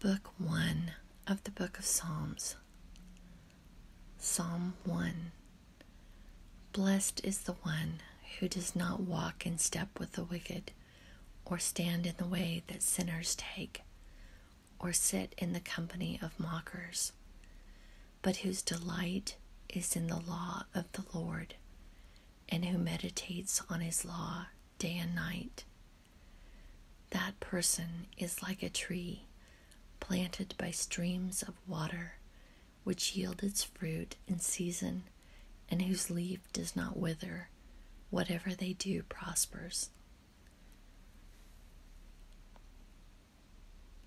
Book 1 of the Book of Psalms. Psalm 1 Blessed is the one who does not walk in step with the wicked, or stand in the way that sinners take, or sit in the company of mockers, but whose delight is in the law of the Lord, and who meditates on his law day and night. That person is like a tree planted by streams of water, which yield its fruit in season and whose leaf does not wither. Whatever they do prospers.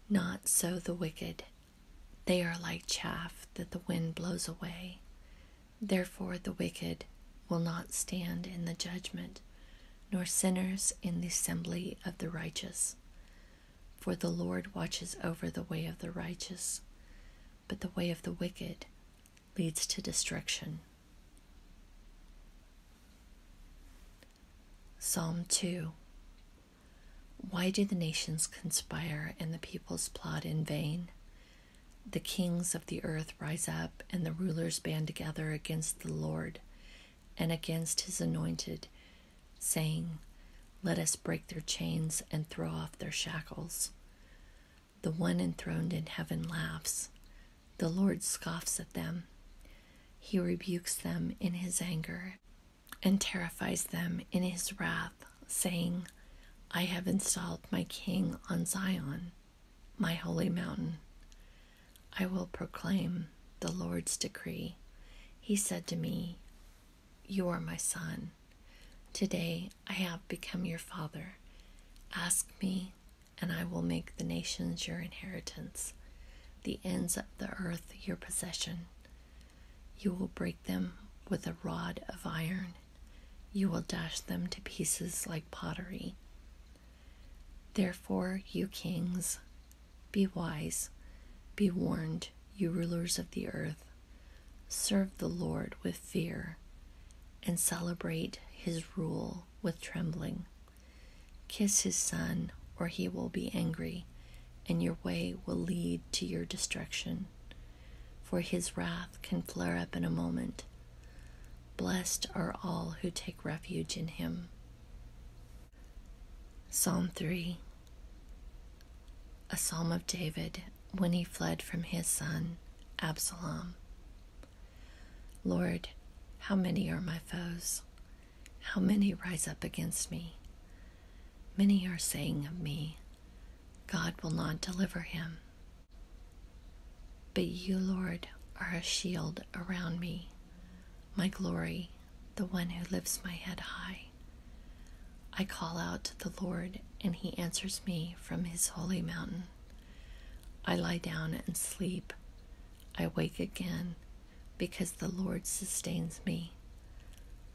Not so the wicked. They are like chaff that the wind blows away. Therefore, the wicked will not stand in the judgment, nor sinners in the assembly of the righteous. For the Lord watches over the way of the righteous, but the way of the wicked leads to destruction. Psalm 2 Why do the nations conspire and the peoples plot in vain? The kings of the earth rise up, and the rulers band together against the Lord and against his anointed, saying, Let us break their chains and throw off their shackles. The one enthroned in heaven laughs. The Lord scoffs at them. He rebukes them in his anger and terrifies them in his wrath saying, I have installed my king on Zion, my holy mountain. I will proclaim the Lord's decree. He said to me, You are my son. Today I have become your father. Ask me, and I will make the nations your inheritance, the ends of the earth your possession. You will break them with a rod of iron you will dash them to pieces like pottery. Therefore, you kings, be wise, be warned, you rulers of the earth. Serve the Lord with fear and celebrate his rule with trembling. Kiss his son, or he will be angry, and your way will lead to your destruction for his wrath can flare up in a moment. Blessed are all who take refuge in him. Psalm 3 A psalm of David when he fled from his son Absalom. Lord, how many are my foes? How many rise up against me? Many are saying of me, God will not deliver him. But you, Lord, are a shield around me, my glory, the one who lifts my head high. I call out to the Lord, and he answers me from his holy mountain. I lie down and sleep. I wake again because the Lord sustains me.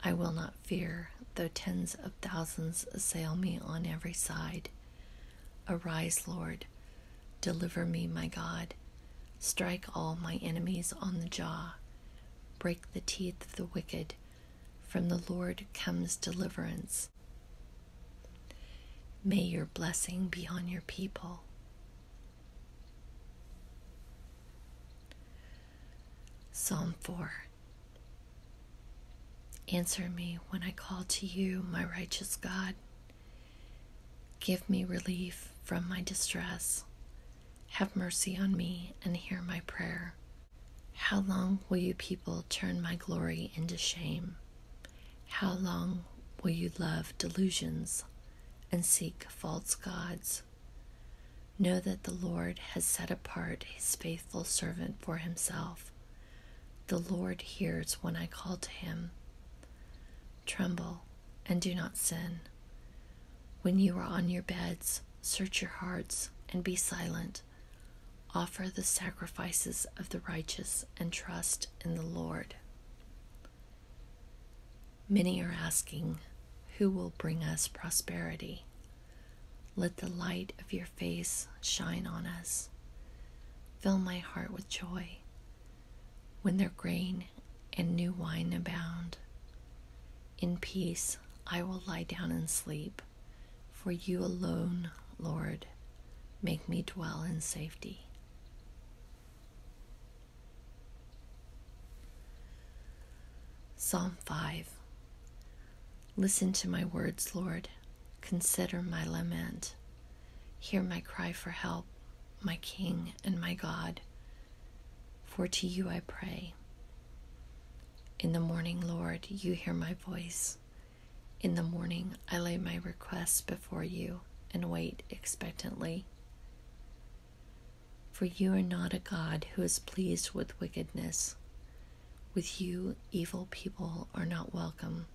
I will not fear, though tens of thousands assail me on every side. Arise, Lord, deliver me, my God. Strike all my enemies on the jaw. Break the teeth of the wicked. From the Lord comes deliverance. May your blessing be on your people. Psalm 4 Answer me when I call to you, my righteous God. Give me relief from my distress. Have mercy on me and hear my prayer. How long will you people turn my glory into shame? How long will you love delusions and seek false gods? Know that the Lord has set apart his faithful servant for himself. The Lord hears when I call to him. Tremble and do not sin. When you are on your beds, search your hearts and be silent. Offer the sacrifices of the righteous and trust in the Lord. Many are asking, Who will bring us prosperity? Let the light of your face shine on us. Fill my heart with joy when their grain and new wine abound. In peace I will lie down and sleep, for you alone, Lord, make me dwell in safety. Psalm 5 Listen to my words, Lord. Consider my lament. Hear my cry for help, my King and my God. For to you I pray. In the morning, Lord, you hear my voice. In the morning, I lay my requests before you and wait expectantly. For you are not a God who is pleased with wickedness, with you, evil people are not welcome.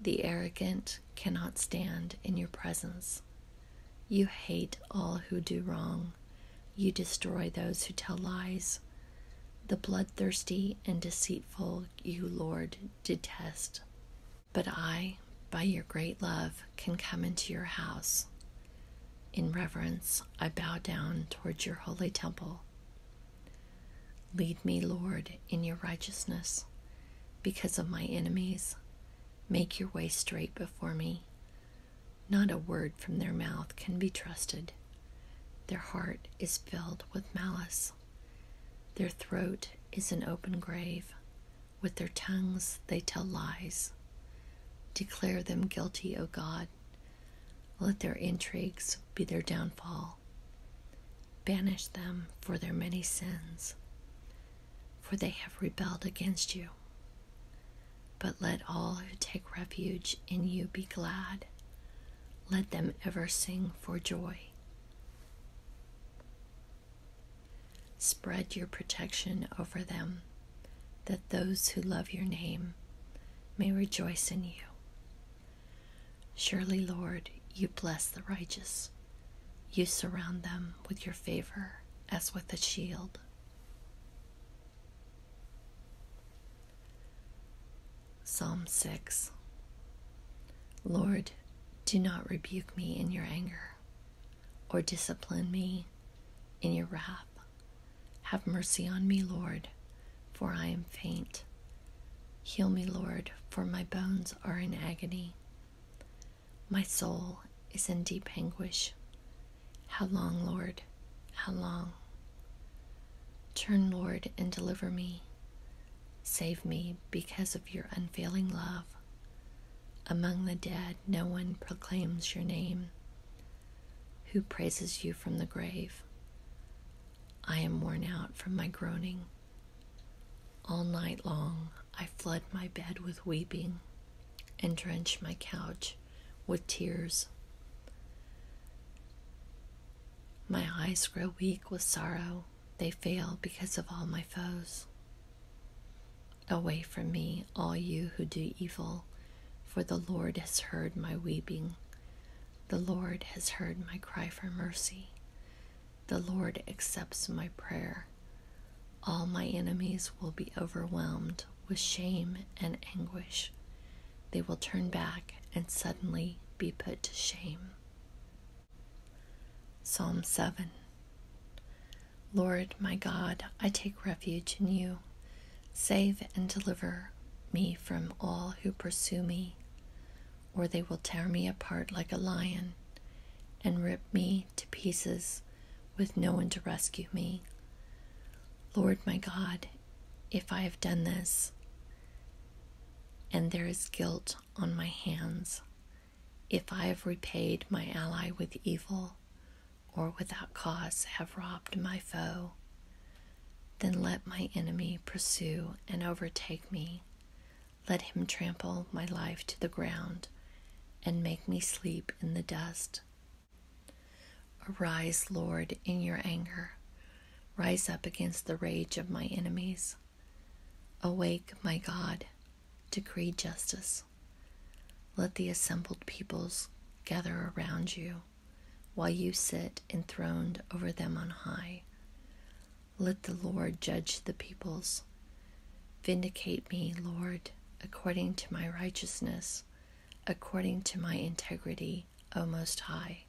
The arrogant cannot stand in your presence. You hate all who do wrong. You destroy those who tell lies. The bloodthirsty and deceitful you, Lord, detest. But I, by your great love, can come into your house. In reverence, I bow down towards your holy temple. Lead me, Lord, in your righteousness because of my enemies. Make your way straight before me. Not a word from their mouth can be trusted. Their heart is filled with malice. Their throat is an open grave. With their tongues they tell lies. Declare them guilty, O God. Let their intrigues be their downfall Banish them for their many sins, for they have rebelled against you. But let all who take refuge in you be glad. Let them ever sing for joy. Spread your protection over them, that those who love your name may rejoice in you. Surely, Lord, you bless the righteous. You surround them with your favor as with a shield. Psalm 6 Lord, do not rebuke me in your anger, or discipline me in your wrath. Have mercy on me, Lord, for I am faint. Heal me, Lord, for my bones are in agony. My soul is in deep anguish. How long, Lord? How long? Turn, Lord, and deliver me. Save me because of your unfailing love. Among the dead, no one proclaims your name. Who praises you from the grave? I am worn out from my groaning. All night long, I flood my bed with weeping and drench my couch with tears. My eyes grow weak with sorrow. They fail because of all my foes. Away from me, all you who do evil, for the Lord has heard my weeping. The Lord has heard my cry for mercy. The Lord accepts my prayer. All my enemies will be overwhelmed with shame and anguish. They will turn back and suddenly be put to shame. Psalm 7 Lord my God, I take refuge in you. Save and deliver me from all who pursue me or they will tear me apart like a lion and rip me to pieces with no one to rescue me. Lord my God, if I have done this, and there is guilt on my hands, if I have repaid my ally with evil, or without cause have robbed my foe, then let my enemy pursue and overtake me. Let him trample my life to the ground and make me sleep in the dust. Arise, Lord, in your anger. Rise up against the rage of my enemies. Awake, my God, decree justice. Let the assembled peoples gather around you while you sit enthroned over them on high. Let the Lord judge the peoples. Vindicate me, Lord, according to my righteousness, according to my integrity, O Most High.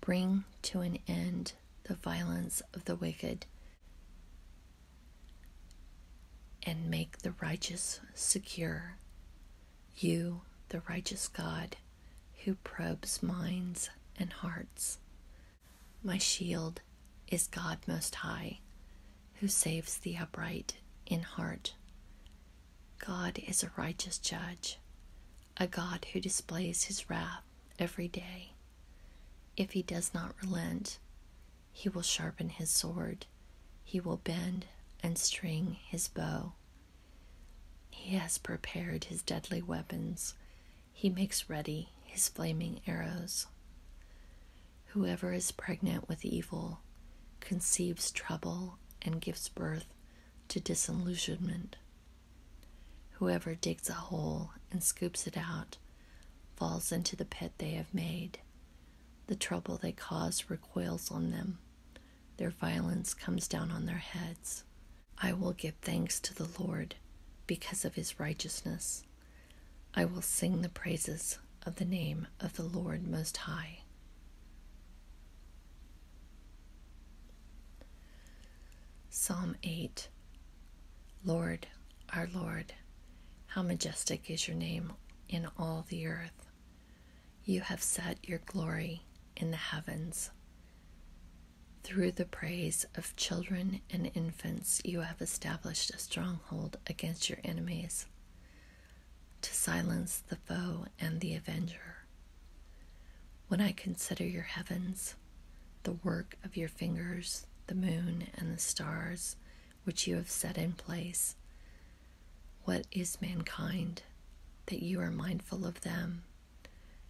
Bring to an end the violence of the wicked, and make the righteous secure. You, the righteous God, who probes minds and hearts. My shield is God Most High, who saves the upright in heart. God is a righteous judge, a God who displays his wrath every day. If he does not relent, he will sharpen his sword, he will bend and string his bow. He has prepared his deadly weapons, he makes ready his flaming arrows. Whoever is pregnant with evil conceives trouble and gives birth to disillusionment. Whoever digs a hole and scoops it out falls into the pit they have made. The trouble they cause recoils on them, their violence comes down on their heads. I will give thanks to the Lord because of his righteousness. I will sing the praises of the name of the Lord Most High. Psalm 8 Lord, our Lord, how majestic is your name in all the earth. You have set your glory in the heavens. Through the praise of children and infants, you have established a stronghold against your enemies to silence the foe and the avenger. When I consider your heavens, the work of your fingers, the moon and the stars which you have set in place, what is mankind that you are mindful of them?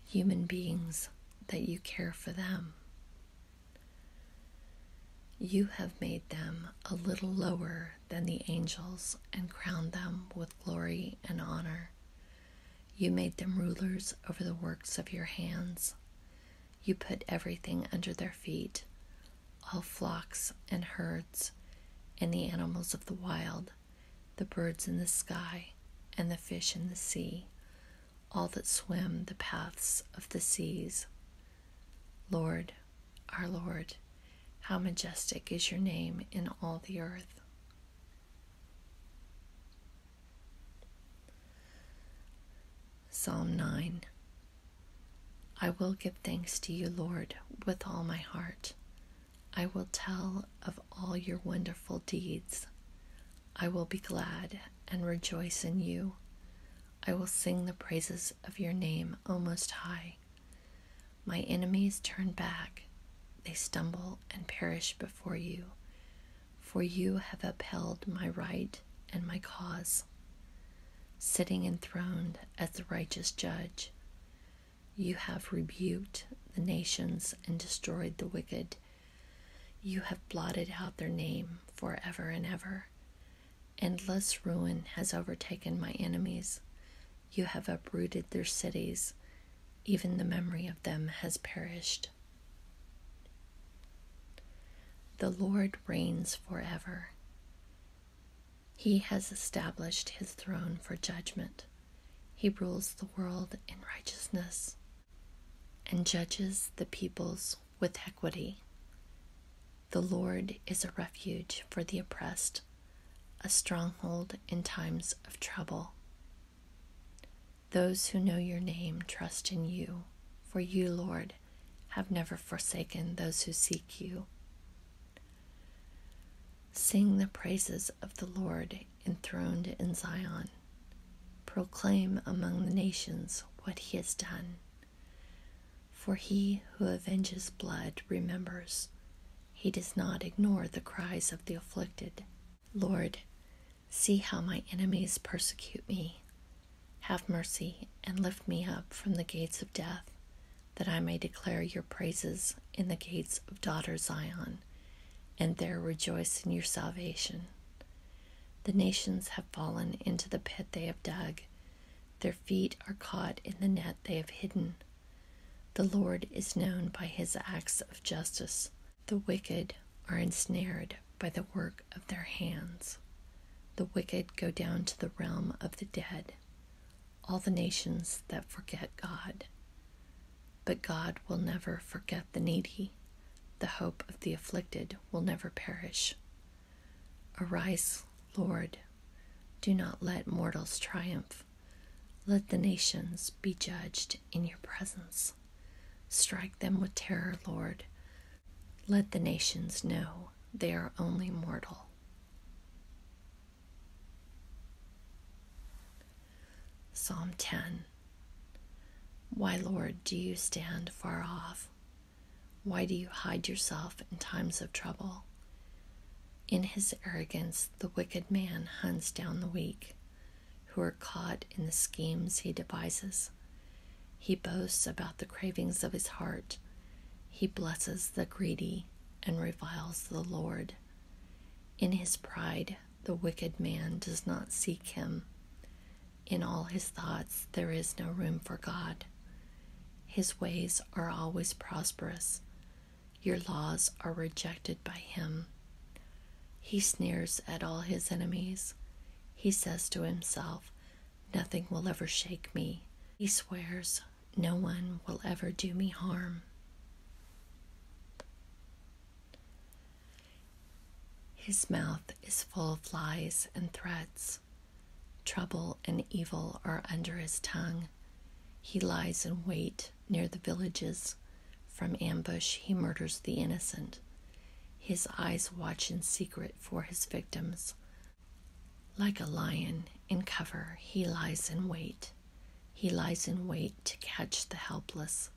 human beings that you care for them. You have made them a little lower than the angels and crowned them with glory and honor. You made them rulers over the works of your hands. You put everything under their feet, all flocks and herds and the animals of the wild the birds in the sky, and the fish in the sea, all that swim the paths of the seas. Lord, our Lord, how majestic is your name in all the earth. Psalm 9 I will give thanks to you, Lord, with all my heart. I will tell of all your wonderful deeds. I will be glad and rejoice in you. I will sing the praises of your name, O Most High. My enemies turn back, they stumble and perish before you, for you have upheld my right and my cause, sitting enthroned as the righteous judge. You have rebuked the nations and destroyed the wicked. You have blotted out their name forever and ever. Endless ruin has overtaken my enemies. You have uprooted their cities. Even the memory of them has perished. The Lord reigns for ever. He has established his throne for judgment. He rules the world in righteousness and judges the peoples with equity. The Lord is a refuge for the oppressed, a stronghold in times of trouble. Those who know your name trust in you, for you, Lord, have never forsaken those who seek you. Sing the praises of the Lord enthroned in Zion. Proclaim among the nations what he has done. For he who avenges blood remembers. He does not ignore the cries of the afflicted. Lord, see how my enemies persecute me. Have mercy and lift me up from the gates of death, that I may declare your praises in the gates of daughter Zion and there rejoice in your salvation. The nations have fallen into the pit they have dug, their feet are caught in the net they have hidden. The Lord is known by his acts of justice. The wicked are ensnared by the work of their hands. The wicked go down to the realm of the dead, all the nations that forget God. But God will never forget the needy. The hope of the afflicted will never perish. Arise, Lord. Do not let mortals triumph. Let the nations be judged in your presence. Strike them with terror, Lord. Let the nations know they are only mortal. Psalm 10 Why, Lord, do you stand far off? Why do you hide yourself in times of trouble? In his arrogance, the wicked man hunts down the weak, who are caught in the schemes he devises. He boasts about the cravings of his heart. He blesses the greedy and reviles the Lord. In his pride, the wicked man does not seek him. In all his thoughts, there is no room for God. His ways are always prosperous. Your laws are rejected by him. He sneers at all his enemies. He says to himself, Nothing will ever shake me. He swears, No one will ever do me harm. His mouth is full of lies and threats. Trouble and evil are under his tongue. He lies in wait near the villages. From ambush, he murders the innocent. His eyes watch in secret for his victims. Like a lion in cover, he lies in wait. He lies in wait to catch the helpless.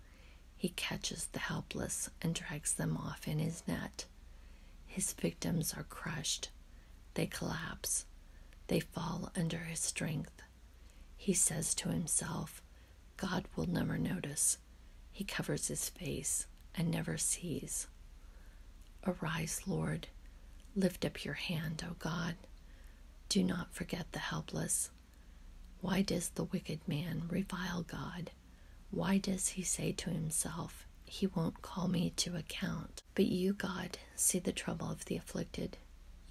He catches the helpless and drags them off in his net. His victims are crushed. They collapse. They fall under his strength. He says to himself, God will never notice. He covers his face and never sees. Arise, Lord. Lift up your hand, O God. Do not forget the helpless. Why does the wicked man revile God? Why does he say to himself, He won't call me to account? But you, God, see the trouble of the afflicted.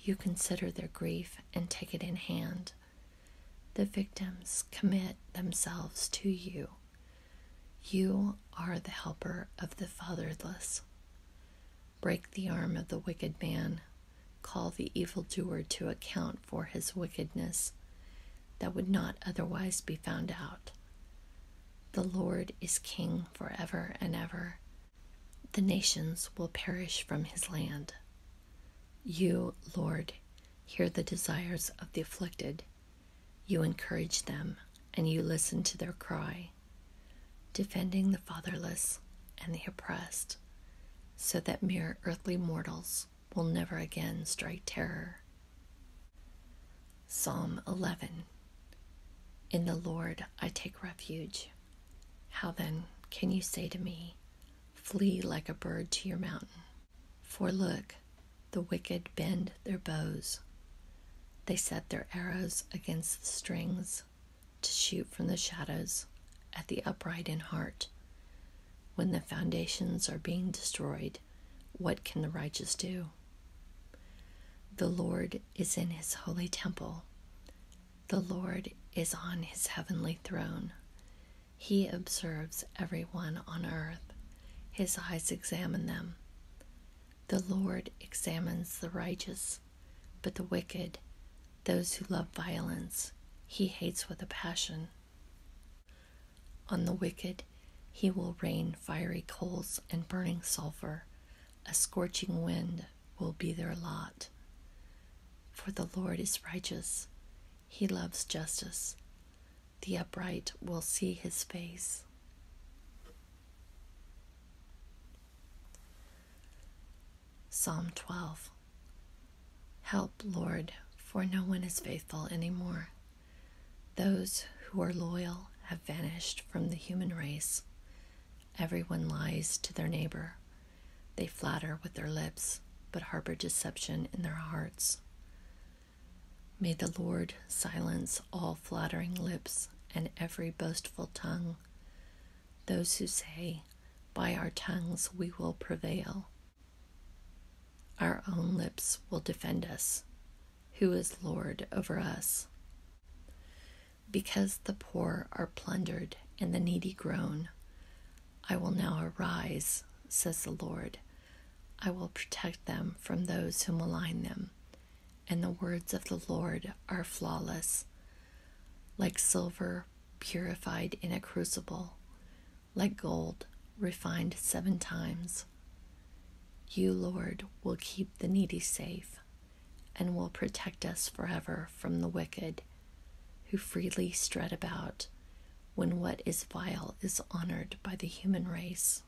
You consider their grief and take it in hand. The victims commit themselves to you. You are the helper of the fatherless. Break the arm of the wicked man call the evil doer to account for his wickedness that would not otherwise be found out. The Lord is king for ever and ever. The nations will perish from his land. You, Lord, hear the desires of the afflicted. You encourage them, and you listen to their cry, defending the fatherless and the oppressed so that mere earthly mortals will never again strike terror. Psalm 11 In the Lord I take refuge. How then can you say to me, Flee like a bird to your mountain? For look, the wicked bend their bows. They set their arrows against the strings to shoot from the shadows at the upright in heart. When the foundations are being destroyed, what can the righteous do? The Lord is in his holy temple. The Lord is on his heavenly throne. He observes everyone on earth. His eyes examine them. The Lord examines the righteous, but the wicked those who love violence he hates with a passion. On the wicked he will rain fiery coals and burning sulfur, a scorching wind will be their lot. For the Lord is righteous, he loves justice. The upright will see his face. Psalm 12 Help, Lord, for no one is faithful any more. Those who are loyal have vanished from the human race. Everyone lies to their neighbor. They flatter with their lips, but harbor deception in their hearts. May the Lord silence all flattering lips and every boastful tongue. Those who say, By our tongues we will prevail our own lips will defend us. Who is Lord over us? Because the poor are plundered and the needy groan, I will now arise, says the Lord. I will protect them from those who malign them. And the words of the Lord are flawless. Like silver purified in a crucible, like gold refined seven times. You, Lord, will keep the needy safe and will protect us forever from the wicked who freely strut about when what is vile is honored by the human race.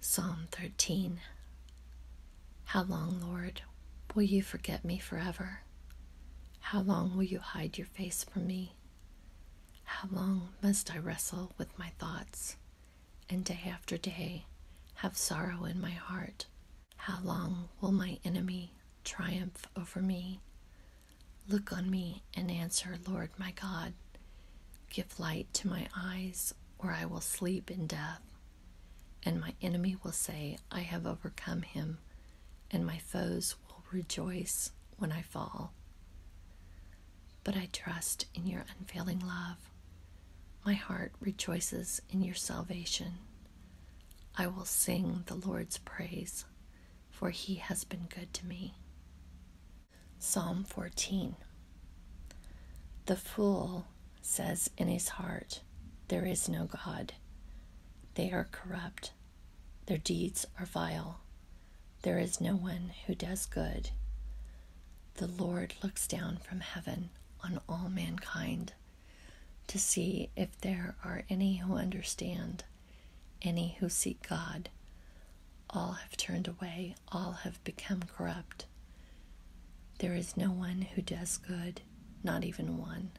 Psalm 13 How long, Lord, will you forget me forever? How long will you hide your face from me? How long must I wrestle with my thoughts, and day after day have sorrow in my heart? How long will my enemy triumph over me? Look on me and answer, Lord my God. Give light to my eyes, or I will sleep in death. And my enemy will say, I have overcome him and my foes will rejoice when I fall. But I trust in your unfailing love. My heart rejoices in your salvation. I will sing the Lord's praise, for he has been good to me. Psalm 14 The fool says in his heart, There is no God. They are corrupt their deeds are vile. There is no one who does good. The Lord looks down from heaven on all mankind to see if there are any who understand, any who seek God. All have turned away, all have become corrupt. There is no one who does good, not even one.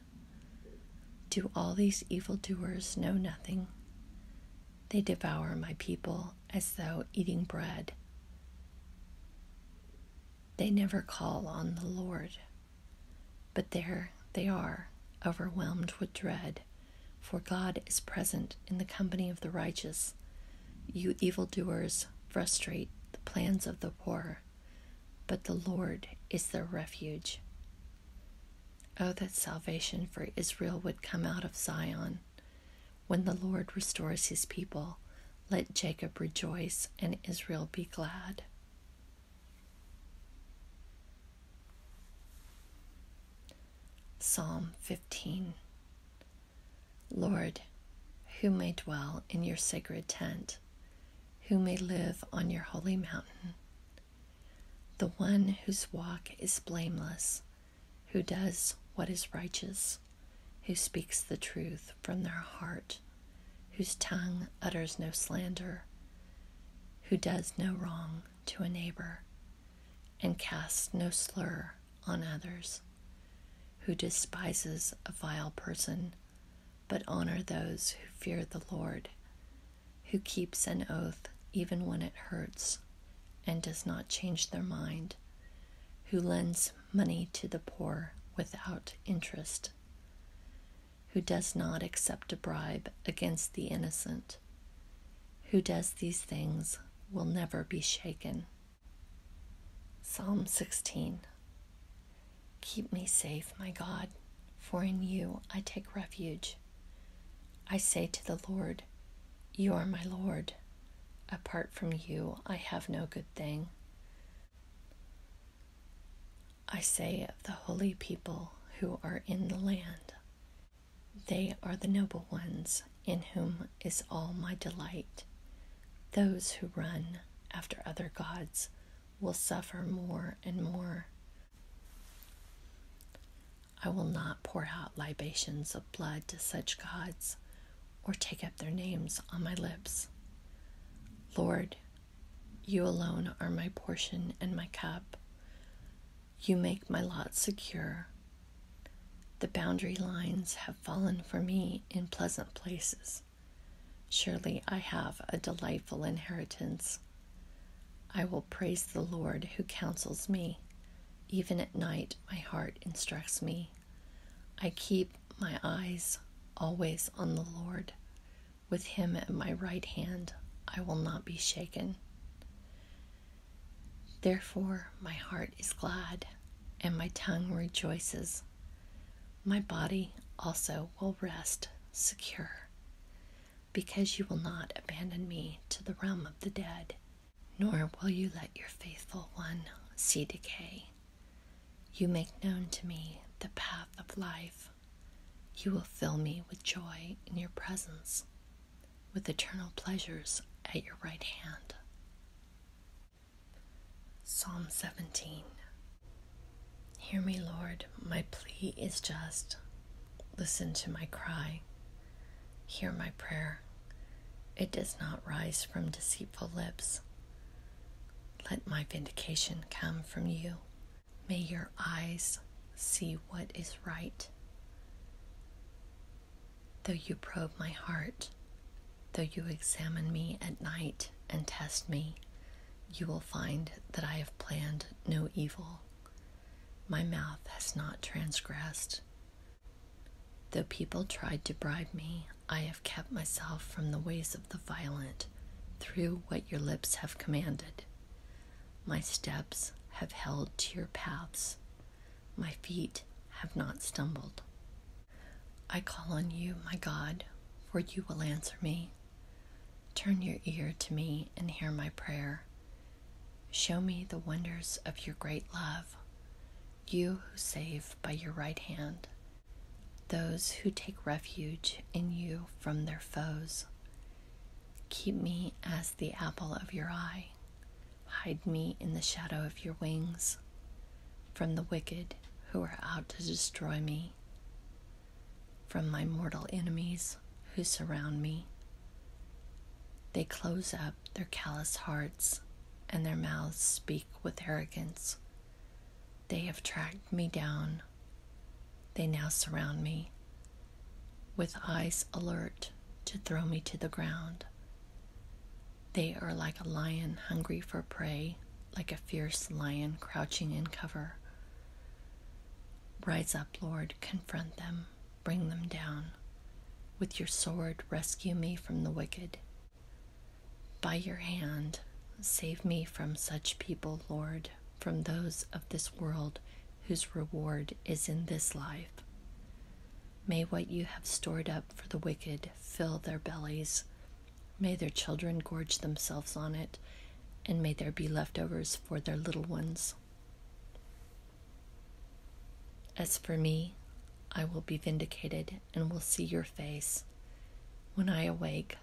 Do all these evildoers know nothing? They devour my people as though eating bread. They never call on the Lord, but there they are, overwhelmed with dread, for God is present in the company of the righteous. You evildoers frustrate the plans of the poor, but the Lord is their refuge. Oh, that salvation for Israel would come out of Zion. When the Lord restores his people, let Jacob rejoice and Israel be glad. Psalm 15 Lord, who may dwell in your sacred tent? Who may live on your holy mountain? the one whose walk is blameless, who does what is righteous, who speaks the truth from their heart, whose tongue utters no slander, who does no wrong to a neighbor, and casts no slur on others, who despises a vile person, but honors those who fear the Lord, who keeps an oath even when it hurts and does not change their mind, who lends money to the poor without interest, who does not accept a bribe against the innocent, who does these things will never be shaken. Psalm 16 Keep me safe, my God, for in you I take refuge. I say to the Lord, You are my Lord. Apart from you, I have no good thing. I say of the holy people who are in the land, They are the noble ones, in whom is all my delight. Those who run after other gods will suffer more and more, I will not pour out libations of blood to such gods or take up their names on my lips. Lord, you alone are my portion and my cup. You make my lot secure. The boundary lines have fallen for me in pleasant places. Surely I have a delightful inheritance. I will praise the Lord who counsels me. Even at night, my heart instructs me. I keep my eyes always on the Lord. With him at my right hand, I will not be shaken. Therefore, my heart is glad, and my tongue rejoices. My body also will rest secure because you will not abandon me to the realm of the dead, nor will you let your faithful one see decay. You make known to me the path of life. You will fill me with joy in your presence, with eternal pleasures at your right hand. Psalm 17 Hear me, Lord. My plea is just. Listen to my cry. Hear my prayer. It does not rise from deceitful lips. Let my vindication come from you. May your eyes see what is right. Though you probe my heart, though you examine me at night and test me, you will find that I have planned no evil. My mouth has not transgressed. Though people tried to bribe me, I have kept myself from the ways of the violent through what your lips have commanded. My steps have held to your paths. My feet have not stumbled. I call on you, my God, for you will answer me. Turn your ear to me and hear my prayer. Show me the wonders of your great love, you who save by your right hand, those who take refuge in you from their foes. Keep me as the apple of your eye, hide me in the shadow of your wings from the wicked who are out to destroy me from my mortal enemies who surround me. They close up their callous hearts, and their mouths speak with arrogance. They have tracked me down. They now surround me, with eyes alert to throw me to the ground. They are like a lion hungry for prey, like a fierce lion crouching in cover. Rise up, Lord, confront them, bring them down. With your sword, rescue me from the wicked. By your hand, save me from such people, Lord, from those of this world whose reward is in this life. May what you have stored up for the wicked fill their bellies. May their children gorge themselves on it, and may there be leftovers for their little ones. As for me, I will be vindicated and will see your face. When I awake,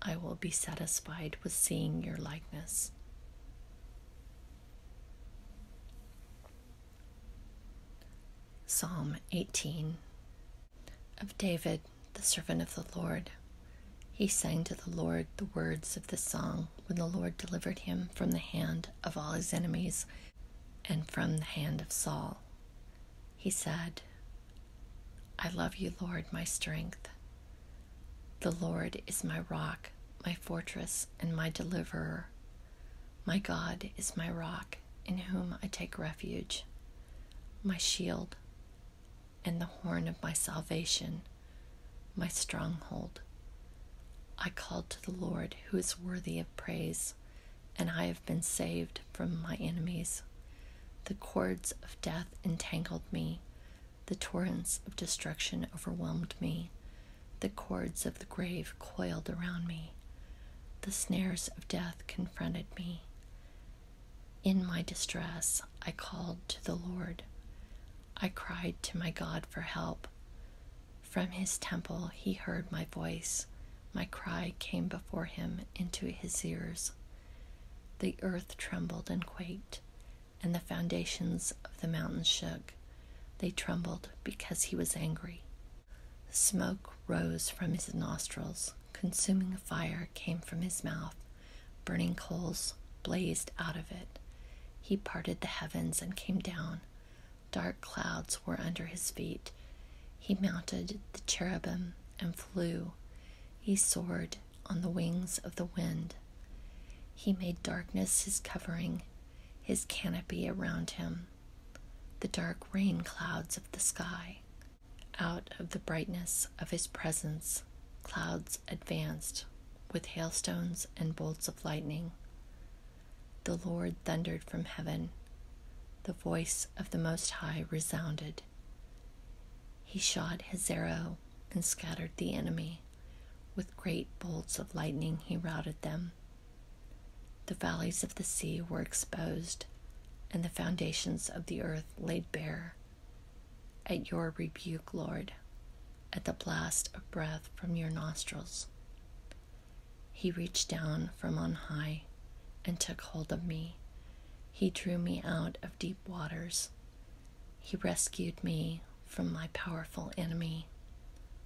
I will be satisfied with seeing your likeness. Psalm 18 of David, the servant of the Lord. He sang to the Lord the words of this song when the Lord delivered him from the hand of all his enemies and from the hand of Saul. He said, I love you, Lord, my strength. The Lord is my rock, my fortress, and my deliverer. My God is my rock, in whom I take refuge, my shield, and the horn of my salvation, my stronghold. I called to the Lord, who is worthy of praise, and I have been saved from my enemies. The cords of death entangled me, the torrents of destruction overwhelmed me, the cords of the grave coiled around me, the snares of death confronted me. In my distress, I called to the Lord. I cried to my God for help. From his temple he heard my voice. My cry came before him into his ears. The earth trembled and quaked, and the foundations of the mountains shook. They trembled because he was angry. Smoke rose from his nostrils, consuming fire came from his mouth. Burning coals blazed out of it. He parted the heavens and came down. Dark clouds were under his feet. He mounted the cherubim and flew. He soared on the wings of the wind. He made darkness his covering, his canopy around him, the dark rain clouds of the sky. Out of the brightness of his presence, clouds advanced with hailstones and bolts of lightning. The Lord thundered from heaven. The voice of the Most High resounded. He shot his arrow and scattered the enemy. With great bolts of lightning, he routed them. The valleys of the sea were exposed, and the foundations of the earth laid bare at your rebuke, Lord, at the blast of breath from your nostrils. He reached down from on high and took hold of me. He drew me out of deep waters. He rescued me from my powerful enemy,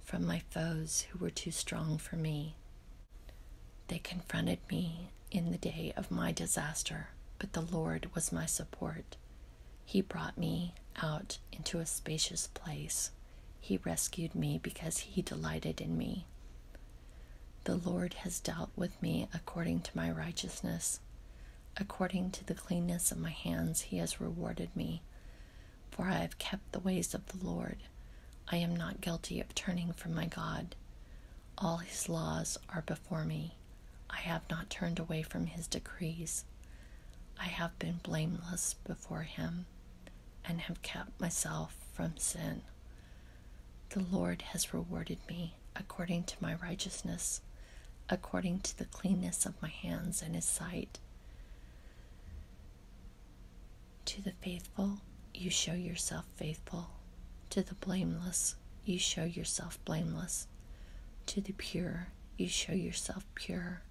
from my foes who were too strong for me. They confronted me in the day of my disaster, but the Lord was my support he brought me out into a spacious place. He rescued me because he delighted in me. The Lord has dealt with me according to my righteousness. According to the cleanness of my hands, he has rewarded me. For I have kept the ways of the Lord. I am not guilty of turning from my God. All his laws are before me. I have not turned away from his decrees. I have been blameless before him and have kept myself from sin. The Lord has rewarded me according to my righteousness, according to the cleanness of my hands in his sight. To the faithful, you show yourself faithful. To the blameless, you show yourself blameless. To the pure, you show yourself pure,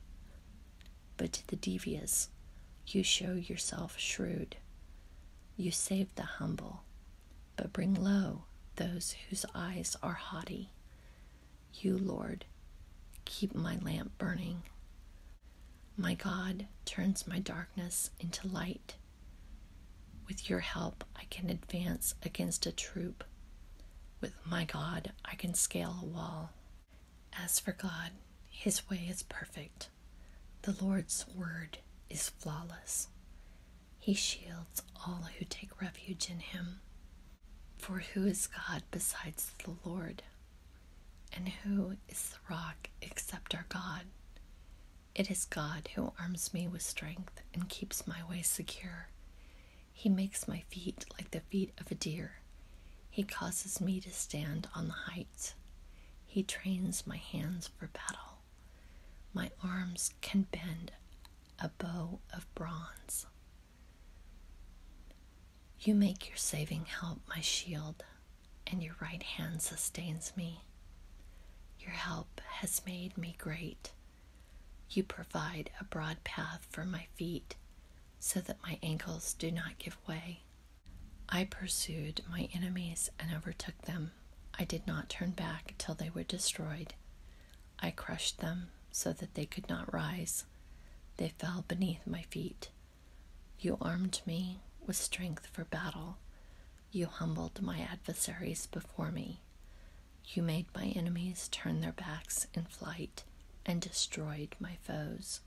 but to the devious, you show yourself shrewd. You save the humble, but bring low those whose eyes are haughty. You, Lord, keep my lamp burning. My God turns my darkness into light. With your help, I can advance against a troop with my God, I can scale a wall. As for God, his way is perfect. The Lord's word is flawless. He shields all who take refuge in him. For who is God besides the Lord? And who is the rock except our God? It is God who arms me with strength and keeps my way secure. He makes my feet like the feet of a deer. He causes me to stand on the heights. He trains my hands for battle. My arms can bend a bow of bronze. You make your saving help my shield, and your right hand sustains me. Your help has made me great. You provide a broad path for my feet so that my ankles do not give way. I pursued my enemies and overtook them. I did not turn back till they were destroyed. I crushed them so that they could not rise. They fell beneath my feet. You armed me with strength for battle. You humbled my adversaries before me. You made my enemies turn their backs in flight and destroyed my foes.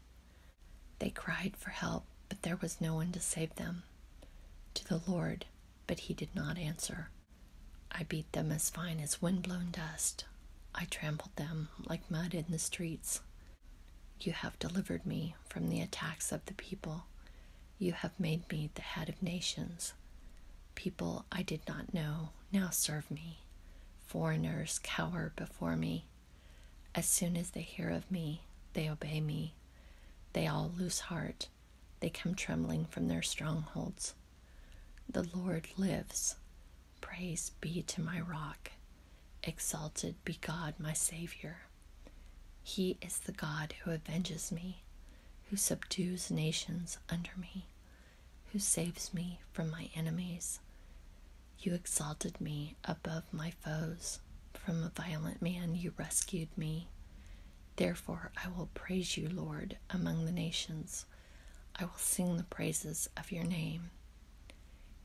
They cried for help, but there was no one to save them. To the Lord, but he did not answer. I beat them as fine as wind-blown dust. I trampled them like mud in the streets. You have delivered me from the attacks of the people. You have made me the head of nations. People I did not know now serve me. Foreigners cower before me. As soon as they hear of me, they obey me. They all lose heart. They come trembling from their strongholds. The Lord lives. Praise be to my rock. Exalted be God, my Savior. He is the God who avenges me, who subdues nations under me who saves me from my enemies. You exalted me above my foes. From a violent man you rescued me. Therefore, I will praise you, Lord, among the nations. I will sing the praises of your name.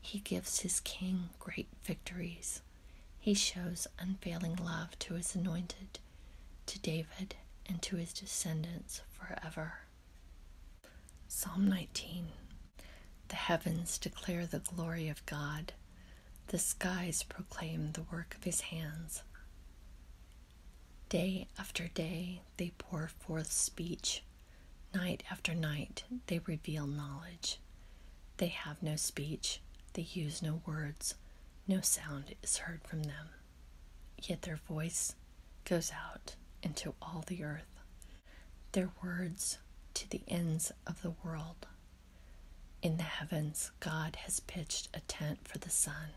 He gives his king great victories. He shows unfailing love to his anointed, to David, and to his descendants forever. Psalm 19 The heavens declare the glory of God, the skies proclaim the work of his hands. Day after day they pour forth speech, night after night they reveal knowledge. They have no speech, they use no words, no sound is heard from them. Yet their voice goes out into all the earth, their words to the ends of the world. In the heavens, God has pitched a tent for the sun.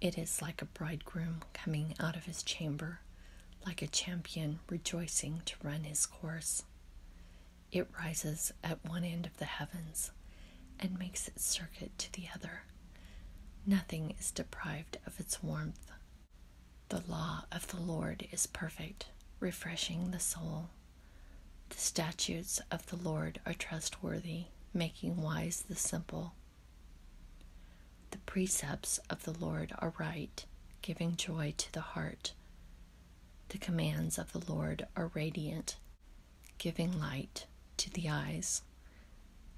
It is like a bridegroom coming out of his chamber, like a champion rejoicing to run his course. It rises at one end of the heavens and makes its circuit to the other. Nothing is deprived of its warmth. The law of the Lord is perfect, refreshing the soul. The statutes of the Lord are trustworthy, making wise the simple. The precepts of the Lord are right, giving joy to the heart. The commands of the Lord are radiant, giving light to the eyes.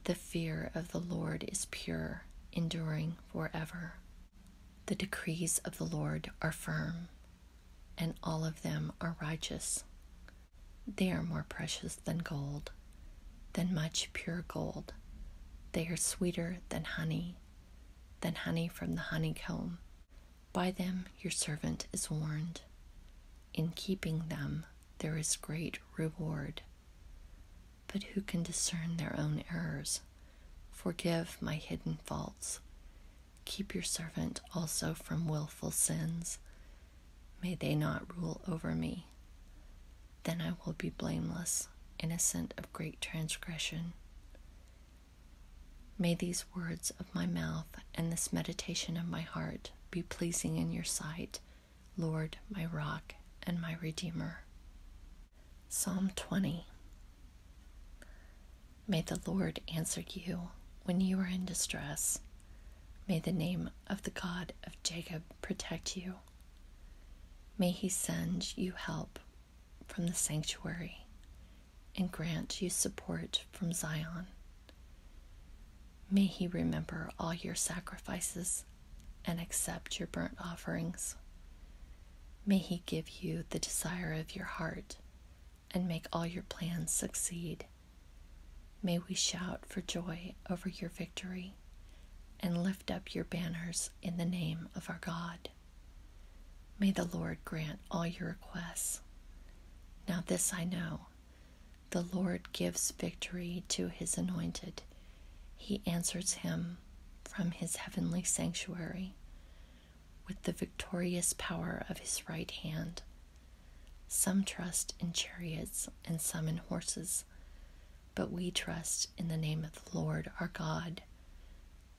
The fear of the Lord is pure, enduring forever. The decrees of the Lord are firm, and all of them are righteous. They are more precious than gold, than much pure gold. They are sweeter than honey, than honey from the honeycomb. By them your servant is warned. In keeping them, there is great reward. But who can discern their own errors? Forgive my hidden faults. Keep your servant also from wilful sins. May they not rule over me. Then I will be blameless, innocent of great transgression. May these words of my mouth and this meditation of my heart be pleasing in your sight, Lord, my rock and my redeemer. Psalm 20 May the Lord answer you when you are in distress. May the name of the God of Jacob protect you. May he send you help from the sanctuary and grant you support from Zion. May He remember all your sacrifices and accept your burnt offerings. May He give you the desire of your heart and make all your plans succeed. May we shout for joy over your victory and lift up your banners in the name of our God. May the Lord grant all your requests. Now, this I know the Lord gives victory to his anointed he answers him from his heavenly sanctuary with the victorious power of his right hand. Some trust in chariots and some in horses, but we trust in the name of the Lord our God.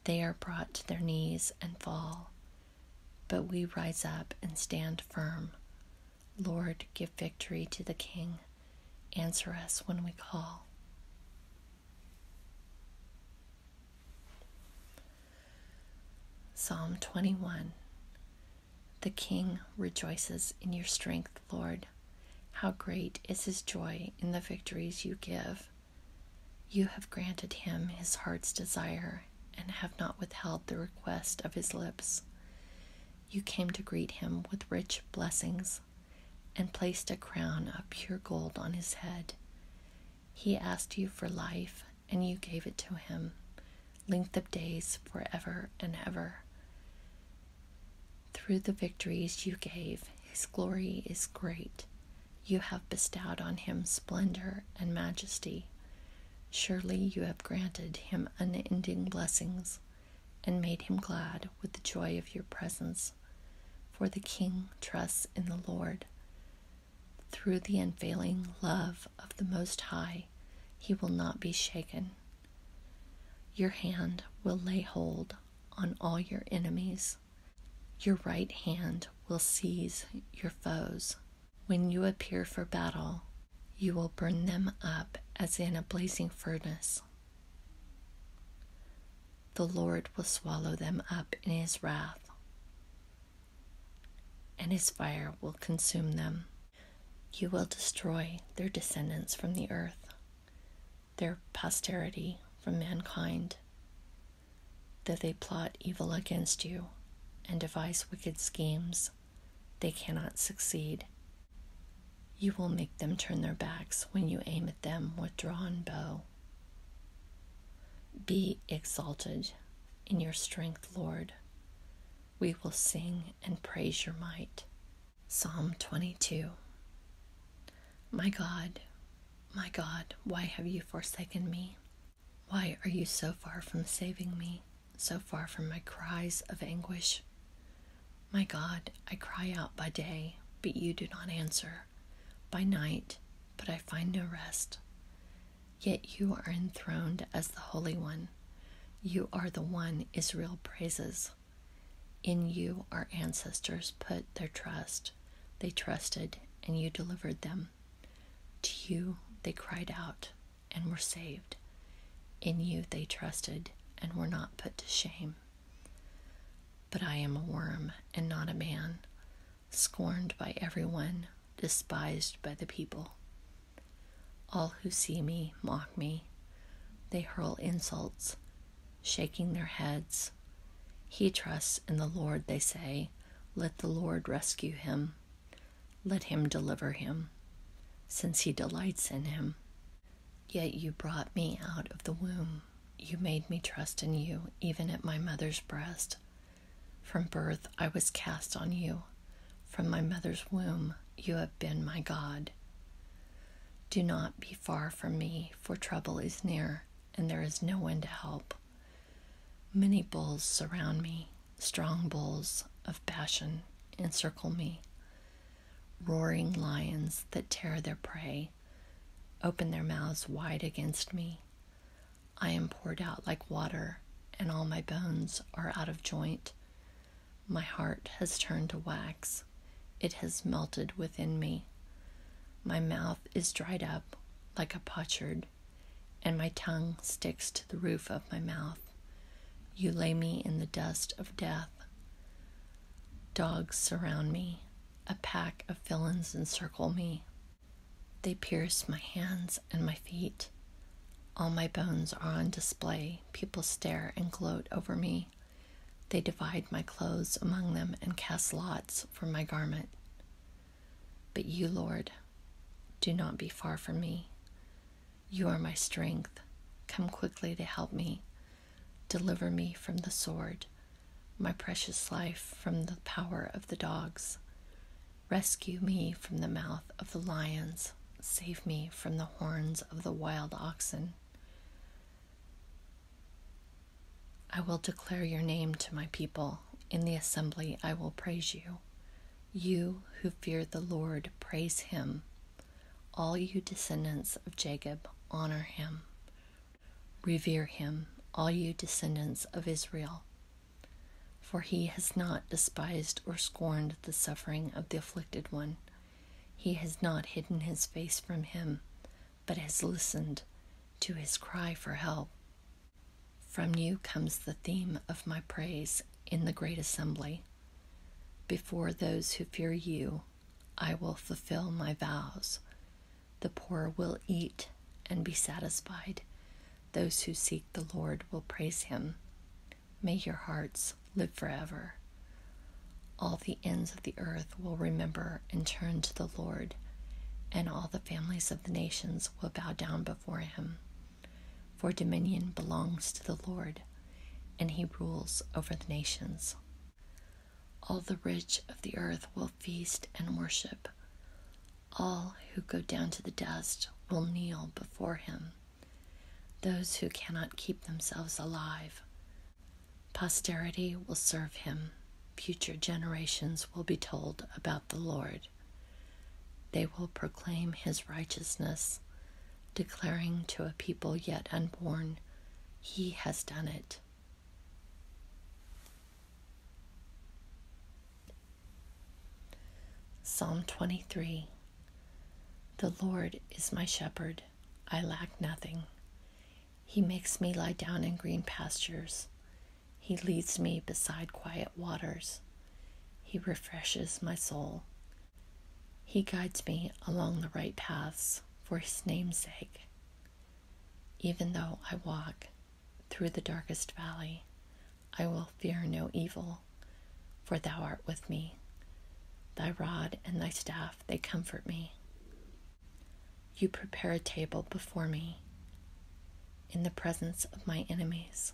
They are brought to their knees and fall, but we rise up and stand firm. Lord, give victory to the King. Answer us when we call. Psalm 21 The King rejoices in your strength, Lord. How great is his joy in the victories you give! You have granted him his heart's desire and have not withheld the request of his lips you came to greet him with rich blessings and placed a crown of pure gold on his head. He asked you for life, and you gave it to him, length of days for ever and ever. Through the victories you gave, his glory is great. You have bestowed on him splendor and majesty. Surely you have granted him unending blessings and made him glad with the joy of your presence. For the king trusts in the Lord. Through the unfailing love of the Most High, he will not be shaken. Your hand will lay hold on all your enemies. Your right hand will seize your foes. When you appear for battle, you will burn them up as in a blazing furnace. The Lord will swallow them up in his wrath, and his fire will consume them. You will destroy their descendants from the earth, their posterity from mankind, though they plot evil against you and devise wicked schemes. They cannot succeed. You will make them turn their backs when you aim at them with drawn bow. Be exalted in your strength, Lord. We will sing and praise your might. Psalm 22 My God, my God, why have you forsaken me? Why are you so far from saving me, so far from my cries of anguish? My God, I cry out by day, but you do not answer, by night, but I find no rest. Yet you are enthroned as the Holy One. You are the one Israel praises. In you our ancestors put their trust. They trusted, and you delivered them. To you they cried out and were saved. In you they trusted and were not put to shame. But I am a worm and not a man, scorned by everyone, despised by the people. All who see me mock me. They hurl insults, shaking their heads. He trusts in the Lord, they say. Let the Lord rescue him. Let him deliver him, since he delights in him. Yet you brought me out of the womb. You made me trust in you, even at my mother's breast. From birth, I was cast on you. From my mother's womb, you have been my God. Do not be far from me, for trouble is near, and there is no one to help. Many bulls surround me, strong bulls of passion encircle me roaring lions that tear their prey open their mouths wide against me. I am poured out like water, and all my bones are out of joint. My heart has turned to wax, it has melted within me. My mouth is dried up like a potsherd, and my tongue sticks to the roof of my mouth. You lay me in the dust of death. Dogs surround me. A pack of villains encircle me. They pierce my hands and my feet. All my bones are on display. People stare and gloat over me. They divide my clothes among them and cast lots for my garment. But you, Lord, do not be far from me. You are my strength. Come quickly to help me. Deliver me from the sword, my precious life from the power of the dogs. Rescue me from the mouth of the lions. Save me from the horns of the wild oxen. I will declare your name to my people. In the assembly, I will praise you. You who fear the Lord, praise him. All you descendants of Jacob, honor him. Revere him, all you descendants of Israel. For he has not despised or scorned the suffering of the afflicted one. He has not hidden his face from him, but has listened to his cry for help. From you comes the theme of my praise in the great assembly. Before those who fear you, I will fulfill my vows. The poor will eat and be satisfied. Those who seek the Lord will praise him. May your hearts live forever. All the ends of the earth will remember and turn to the Lord, and all the families of the nations will bow down before him. For dominion belongs to the Lord, and he rules over the nations. All the rich of the earth will feast and worship. All who go down to the dust will kneel before him. Those who cannot keep themselves alive. Posterity will serve him. Future generations will be told about the Lord. They will proclaim his righteousness declaring to a people yet unborn, He has done it. Psalm 23 The Lord is my shepherd, I lack nothing. He makes me lie down in green pastures. He leads me beside quiet waters. He refreshes my soul. He guides me along the right paths for his name's sake. Even though I walk through the darkest valley, I will fear no evil, for thou art with me. Thy rod and thy staff, they comfort me. You prepare a table before me in the presence of my enemies.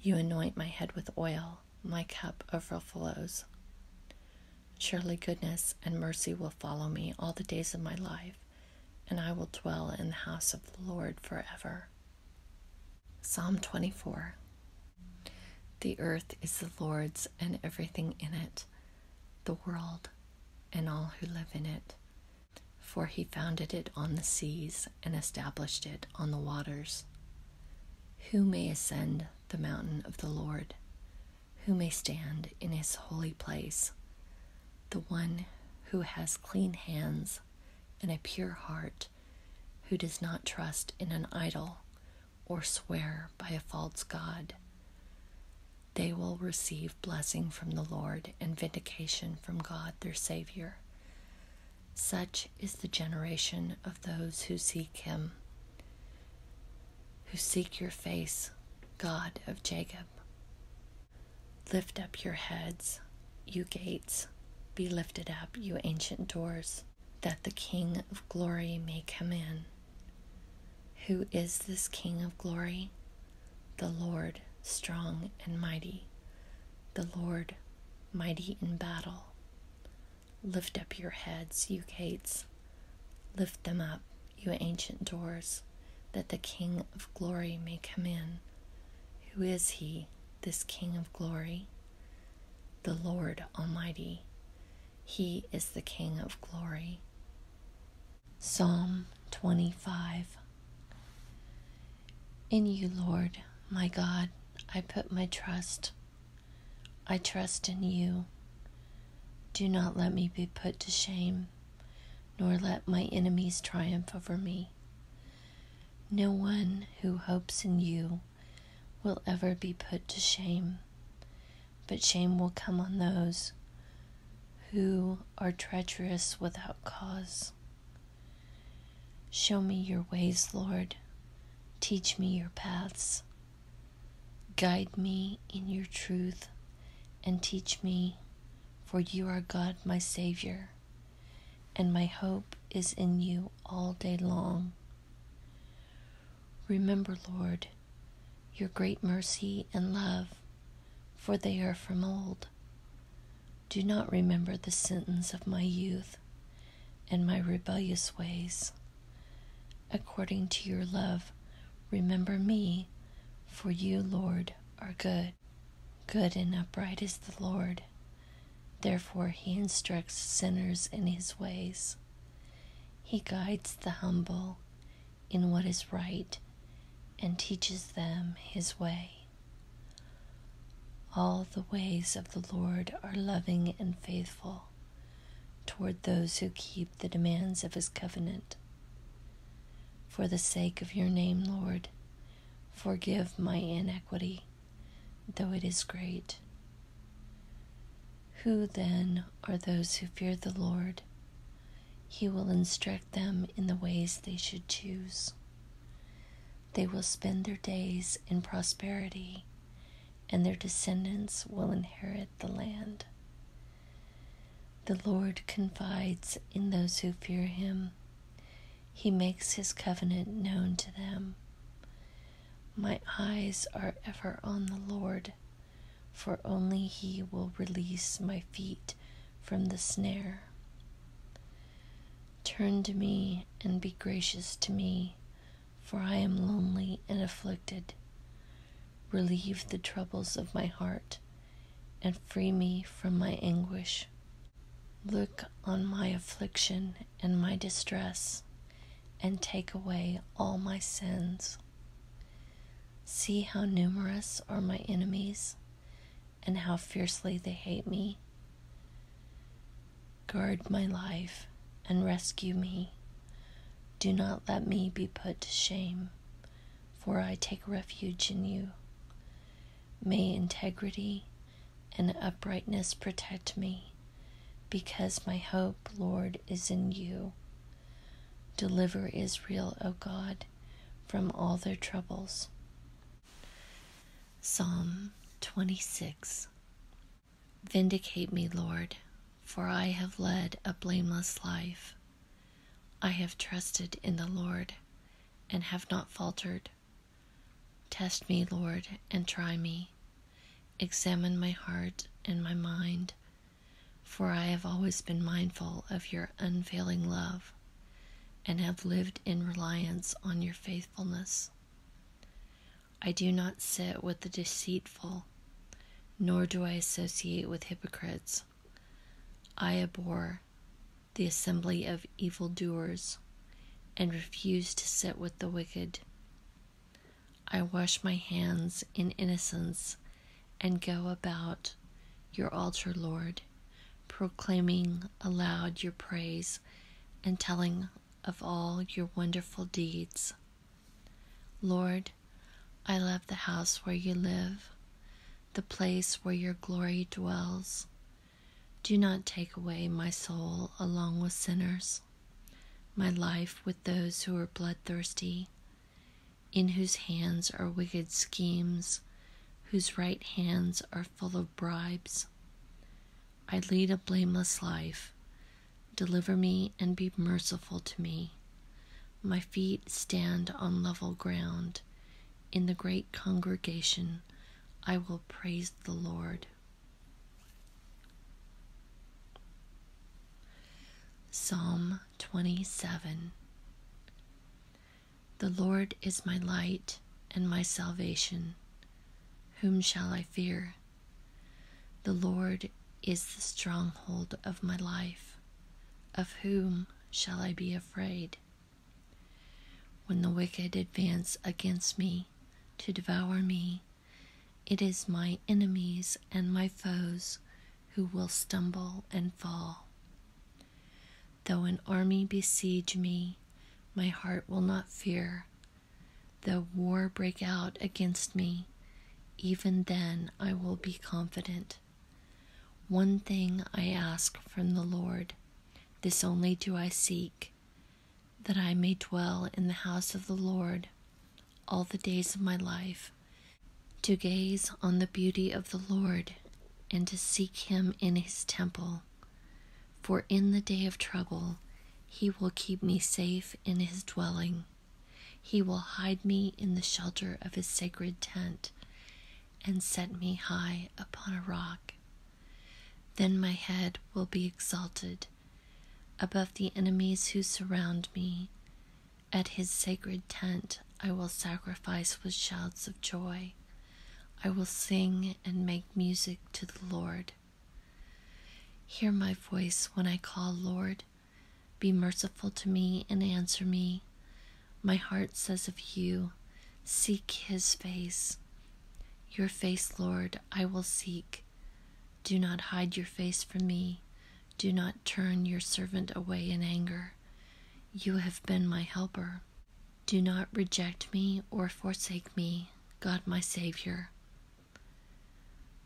You anoint my head with oil, my cup overflows. Surely goodness and mercy will follow me all the days of my life, and I will dwell in the house of the Lord forever. Psalm 24 The earth is the Lord's and everything in it, the world and all who live in it. For he founded it on the seas and established it on the waters. Who may ascend the mountain of the Lord? who may stand in his holy place, the one who has clean hands and a pure heart, who does not trust in an idol or swear by a false God. They will receive blessing from the Lord and vindication from God their Savior. Such is the generation of those who seek Him who seek your face, God of Jacob. Lift up your heads, you gates, be lifted up, you ancient doors, that the King of glory may come in. Who is this King of glory? The Lord, strong and mighty, the Lord, mighty in battle. Lift up your heads, you gates. Lift them up, you ancient doors, that the King of glory may come in. Who is he, this King of glory? The Lord Almighty. He is the King of glory. Psalm 25 In you, Lord, my God, I put my trust. I trust in you. Do not let me be put to shame, nor let my enemies triumph over me. No one who hopes in you will ever be put to shame, but shame will come on those who are treacherous without cause. Show me your ways, Lord. Teach me your paths. Guide me in your truth and teach me, for you are God, my Savior, and my hope is in you all day long. Remember, Lord, your great mercy and love, for they are from old. Do not remember the sins of my youth and my rebellious ways according to your love. Remember me, for you, Lord, are good. Good and upright is the Lord. Therefore, he instructs sinners in his ways. He guides the humble in what is right and teaches them his way. All the ways of the Lord are loving and faithful toward those who keep the demands of his covenant. For the sake of your name, Lord, forgive my iniquity, though it is great. Who then are those who fear the Lord? He will instruct them in the ways they should choose. They will spend their days in prosperity and their descendants will inherit the land. The Lord confides in those who fear him. He makes his covenant known to them. My eyes are ever on the Lord, for only he will release my feet from the snare. Turn to me and be gracious to me, for I am lonely and afflicted. Relieve the troubles of my heart and free me from my anguish. Look on my affliction and my distress, and take away all my sins. See how numerous are my enemies, and how fiercely they hate me. Guard my life and rescue me. Do not let me be put to shame, for I take refuge in you. May integrity and uprightness protect me, because my hope, Lord, is in you. Deliver Israel, O God, from all their troubles. Psalm 26 Vindicate me, Lord, for I have led a blameless life. I have trusted in the Lord and have not faltered. Test me, Lord, and try me. Examine my heart and my mind, for I have always been mindful of your unfailing love and have lived in reliance on your faithfulness. I do not sit with the deceitful nor do I associate with hypocrites. I abhor the assembly of evil doers, and refuse to sit with the wicked. I wash my hands in innocence and go about your altar, Lord, proclaiming aloud your praise and telling of all your wonderful deeds. Lord, I love the house where you live, the place where your glory dwells. Do not take away my soul along with sinners, my life with those who are bloodthirsty, in whose hands are wicked schemes, whose right hands are full of bribes. I lead a blameless life Deliver me and be merciful to me. My feet stand on level ground. In the great congregation, I will praise the Lord. Psalm 27 The Lord is my light and my salvation. Whom shall I fear? The Lord is the stronghold of my life. Of whom shall I be afraid? When the wicked advance against me to devour me, it is my enemies and my foes who will stumble and fall. Though an army besiege me, my heart will not fear. Though war break out against me, even then I will be confident. One thing I ask from the Lord, this only do I seek, that I may dwell in the house of the Lord all the days of my life, to gaze on the beauty of the Lord and to seek him in his temple. For in the day of trouble he will keep me safe in his dwelling. He will hide me in the shelter of his sacred tent and set me high upon a rock. Then my head will be exalted above the enemies who surround me. At his sacred tent I will sacrifice with shouts of joy. I will sing and make music to the Lord. Hear my voice when I call, Lord. Be merciful to me and answer me. My heart says of you, Seek his face. Your face, Lord, I will seek. Do not hide your face from me. Do not turn your servant away in anger. You have been my helper. Do not reject me or forsake me, God my Savior.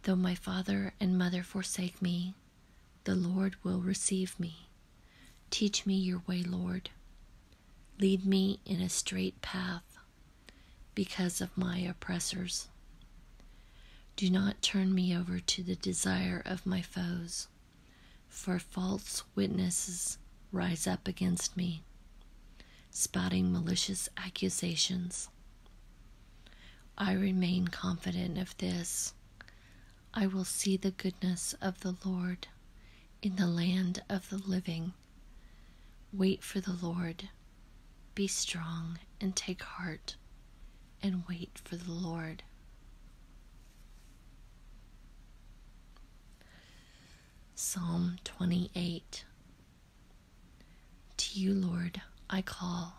Though my father and mother forsake me, the Lord will receive me. Teach me your way, Lord. Lead me in a straight path because of my oppressors. Do not turn me over to the desire of my foes, for false witnesses rise up against me, spouting malicious accusations. I remain confident of this. I will see the goodness of the Lord in the land of the living. Wait for the Lord. Be strong and take heart and wait for the Lord. Psalm 28 To you, Lord, I call.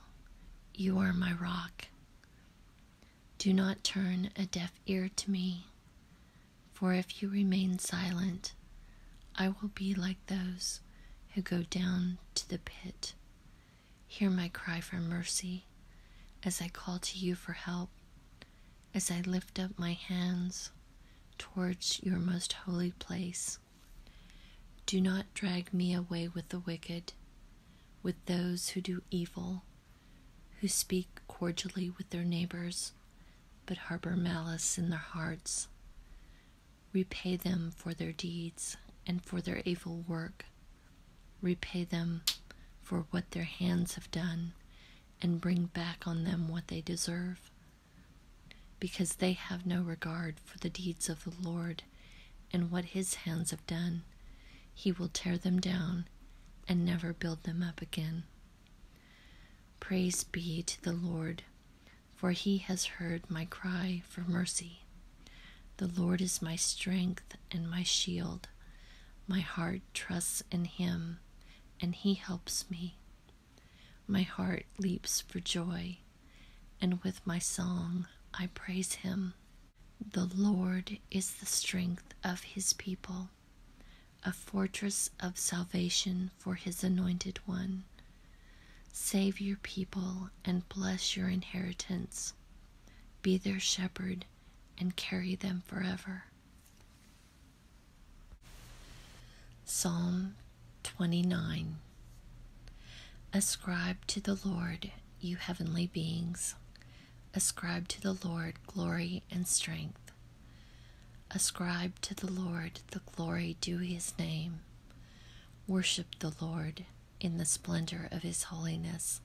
You are my rock do not turn a deaf ear to me, for if you remain silent, I will be like those who go down to the pit. Hear my cry for mercy as I call to you for help, as I lift up my hands towards your most holy place. Do not drag me away with the wicked with those who do evil, who speak cordially with their neighbors, but harbor malice in their hearts. Repay them for their deeds and for their evil work. Repay them for what their hands have done, and bring back on them what they deserve. Because they have no regard for the deeds of the Lord and what his hands have done. He will tear them down and never build them up again. Praise be to the Lord, for he has heard my cry for mercy. The Lord is my strength and my shield. My heart trusts in him, and he helps me. My heart leaps for joy, and with my song I praise him. The Lord is the strength of his people, a fortress of salvation for his anointed one. Save your people and bless your inheritance. Be their shepherd and carry them forever. Psalm 29 Ascribe to the Lord you heavenly beings. Ascribe to the Lord glory and strength. Ascribe to the Lord the glory due his name. Worship the Lord in the splendor of his holiness.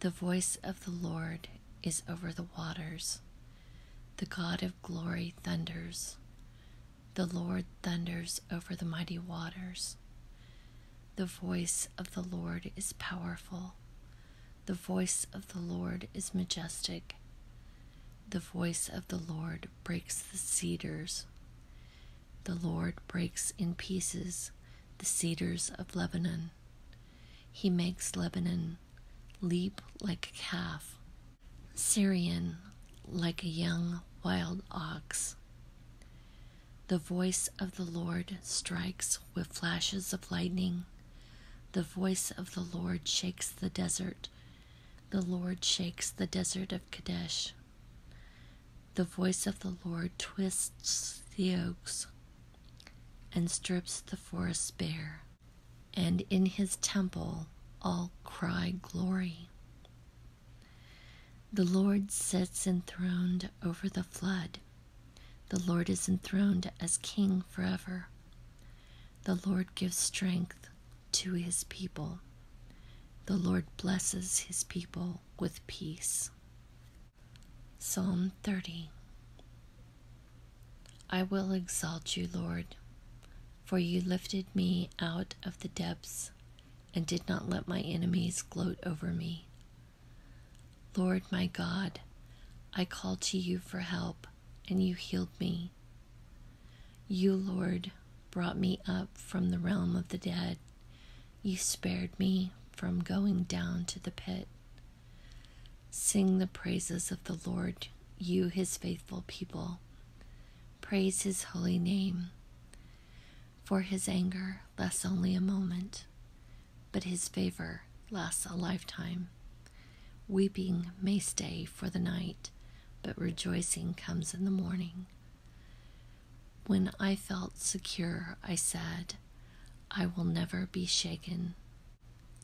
The voice of the Lord is over the waters. The God of glory thunders. The Lord thunders over the mighty waters. The voice of the Lord is powerful. The voice of the Lord is majestic. The voice of the Lord breaks the cedars. The Lord breaks in pieces the cedars of Lebanon. He makes Lebanon leap like a calf, Syrian like a young wild ox. The voice of the Lord strikes with flashes of lightning. The voice of the Lord shakes the desert. The Lord shakes the desert of Kadesh. The voice of the Lord twists the oaks and strips the forests bare. And in his temple all cry glory. The Lord sits enthroned over the flood. The Lord is enthroned as King forever. The Lord gives strength to his people. The Lord blesses his people with peace. Psalm 30 I will exalt you, Lord, for you lifted me out of the depths and did not let my enemies gloat over me. Lord my God, I called to you for help, and you healed me. You, Lord, brought me up from the realm of the dead. You spared me from going down to the pit. Sing the praises of the Lord, you, his faithful people. Praise his holy name for his anger lasts only a moment, but his favor lasts a lifetime. Weeping may stay for the night, but rejoicing comes in the morning. When I felt secure, I said, I will never be shaken.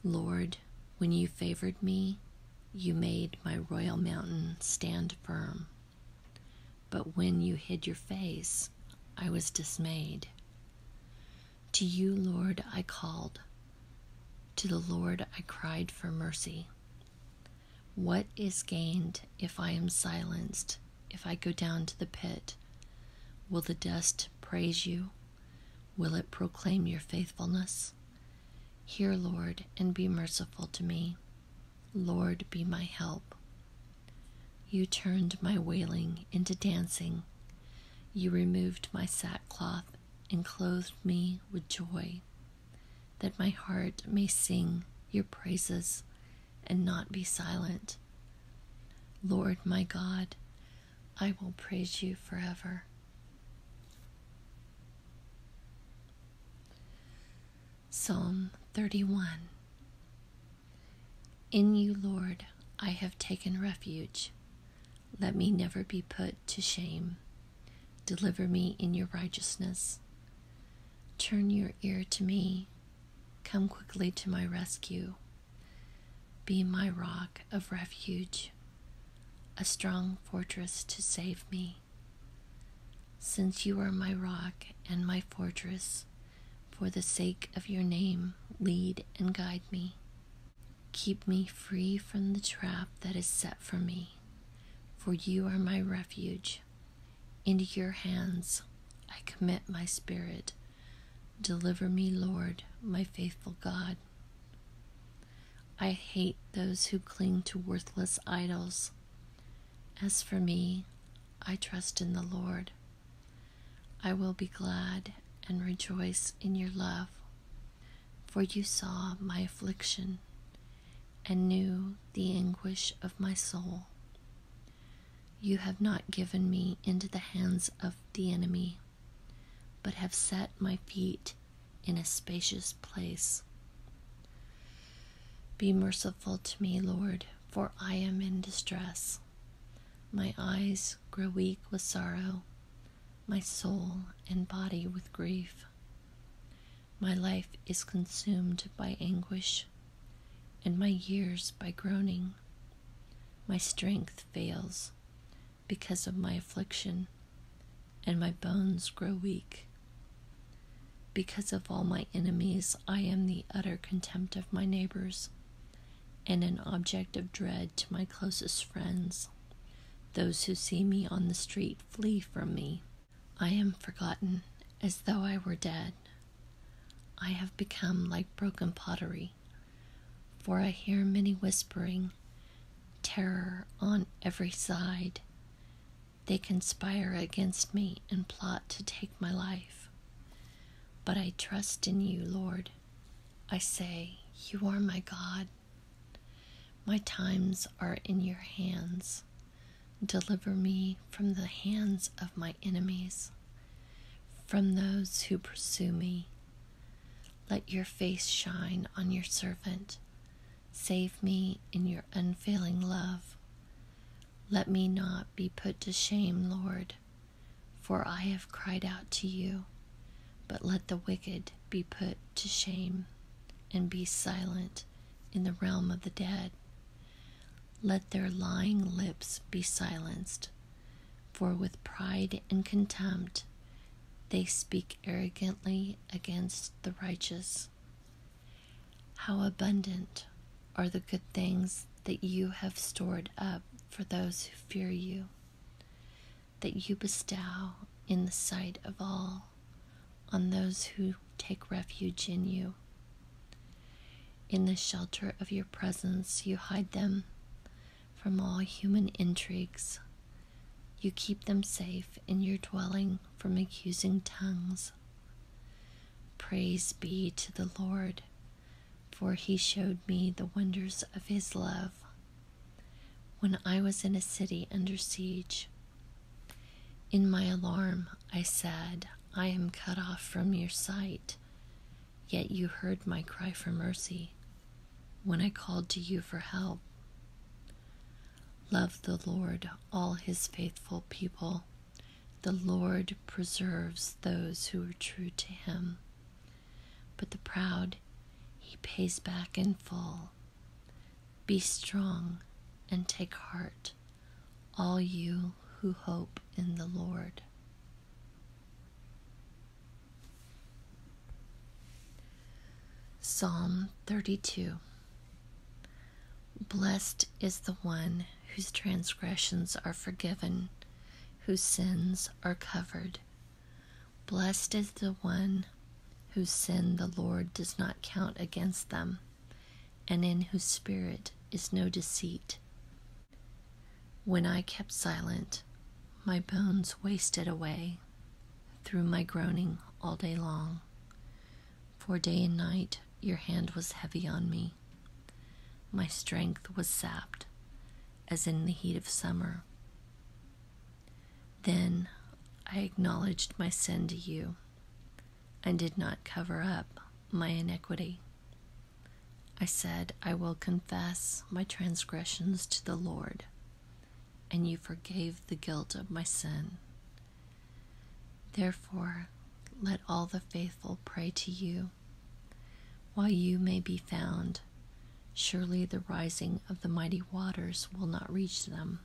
Lord, when you favored me, you made my royal mountain stand firm but when you hid your face, I was dismayed. To you, Lord, I called. To the Lord I cried for mercy. What is gained if I am silenced, if I go down to the pit? Will the dust praise you? Will it proclaim your faithfulness? Hear, Lord, and be merciful to me. Lord, be my help. You turned my wailing into dancing. You removed my sackcloth and clothed me with joy, that my heart may sing your praises and not be silent. Lord my God, I will praise you forever. Psalm 31 in you, Lord, I have taken refuge. Let me never be put to shame. Deliver me in your righteousness. Turn your ear to me. Come quickly to my rescue. Be my rock of refuge, a strong fortress to save me. Since you are my rock and my fortress, for the sake of your name, lead and guide me. Keep me free from the trap that is set for me, for you are my refuge. Into your hands I commit my spirit. Deliver me, Lord, my faithful God. I hate those who cling to worthless idols. As for me, I trust in the Lord. I will be glad and rejoice in your love, for you saw my affliction and knew the anguish of my soul. You have not given me into the hands of the enemy, but have set my feet in a spacious place. Be merciful to me, Lord, for I am in distress. My eyes grow weak with sorrow, my soul and body with grief. My life is consumed by anguish, and my years by groaning. My strength fails because of my affliction, and my bones grow weak. Because of all my enemies, I am the utter contempt of my neighbors and an object of dread to my closest friends. Those who see me on the street flee from me. I am forgotten as though I were dead. I have become like broken pottery, for I hear many whispering, terror on every side. They conspire against me and plot to take my life. But I trust in you, Lord. I say, You are my God. My times are in your hands. Deliver me from the hands of my enemies, from those who pursue me. Let your face shine on your servant. Save me in your unfailing love. Let me not be put to shame, Lord, for I have cried out to you. But let the wicked be put to shame and be silent in the realm of the dead. Let their lying lips be silenced, for with pride and contempt they speak arrogantly against the righteous. How abundant are the good things that you have stored up for those who fear you, that you bestow in the sight of all on those who take refuge in you. In the shelter of your presence, you hide them from all human intrigues. You keep them safe in your dwelling from accusing tongues. Praise be to the Lord, for he showed me the wonders of his love when I was in a city under siege. In my alarm, I said, I am cut off from your sight, yet you heard my cry for mercy when I called to you for help. Love the Lord, all his faithful people the Lord preserves those who are true to him, but the proud he pays back in full. Be strong and take heart, all you who hope in the Lord. Psalm 32 Blessed is the one whose transgressions are forgiven, whose sins are covered. Blessed is the one whose sin the Lord does not count against them, and in whose spirit is no deceit. When I kept silent, my bones wasted away through my groaning all day long. For day and night your hand was heavy on me. My strength was sapped, as in the heat of summer. Then I acknowledged my sin to you and did not cover up my iniquity. I said, I will confess my transgressions to the Lord, and you forgave the guilt of my sin. Therefore, let all the faithful pray to you while you may be found, surely the rising of the mighty waters will not reach them.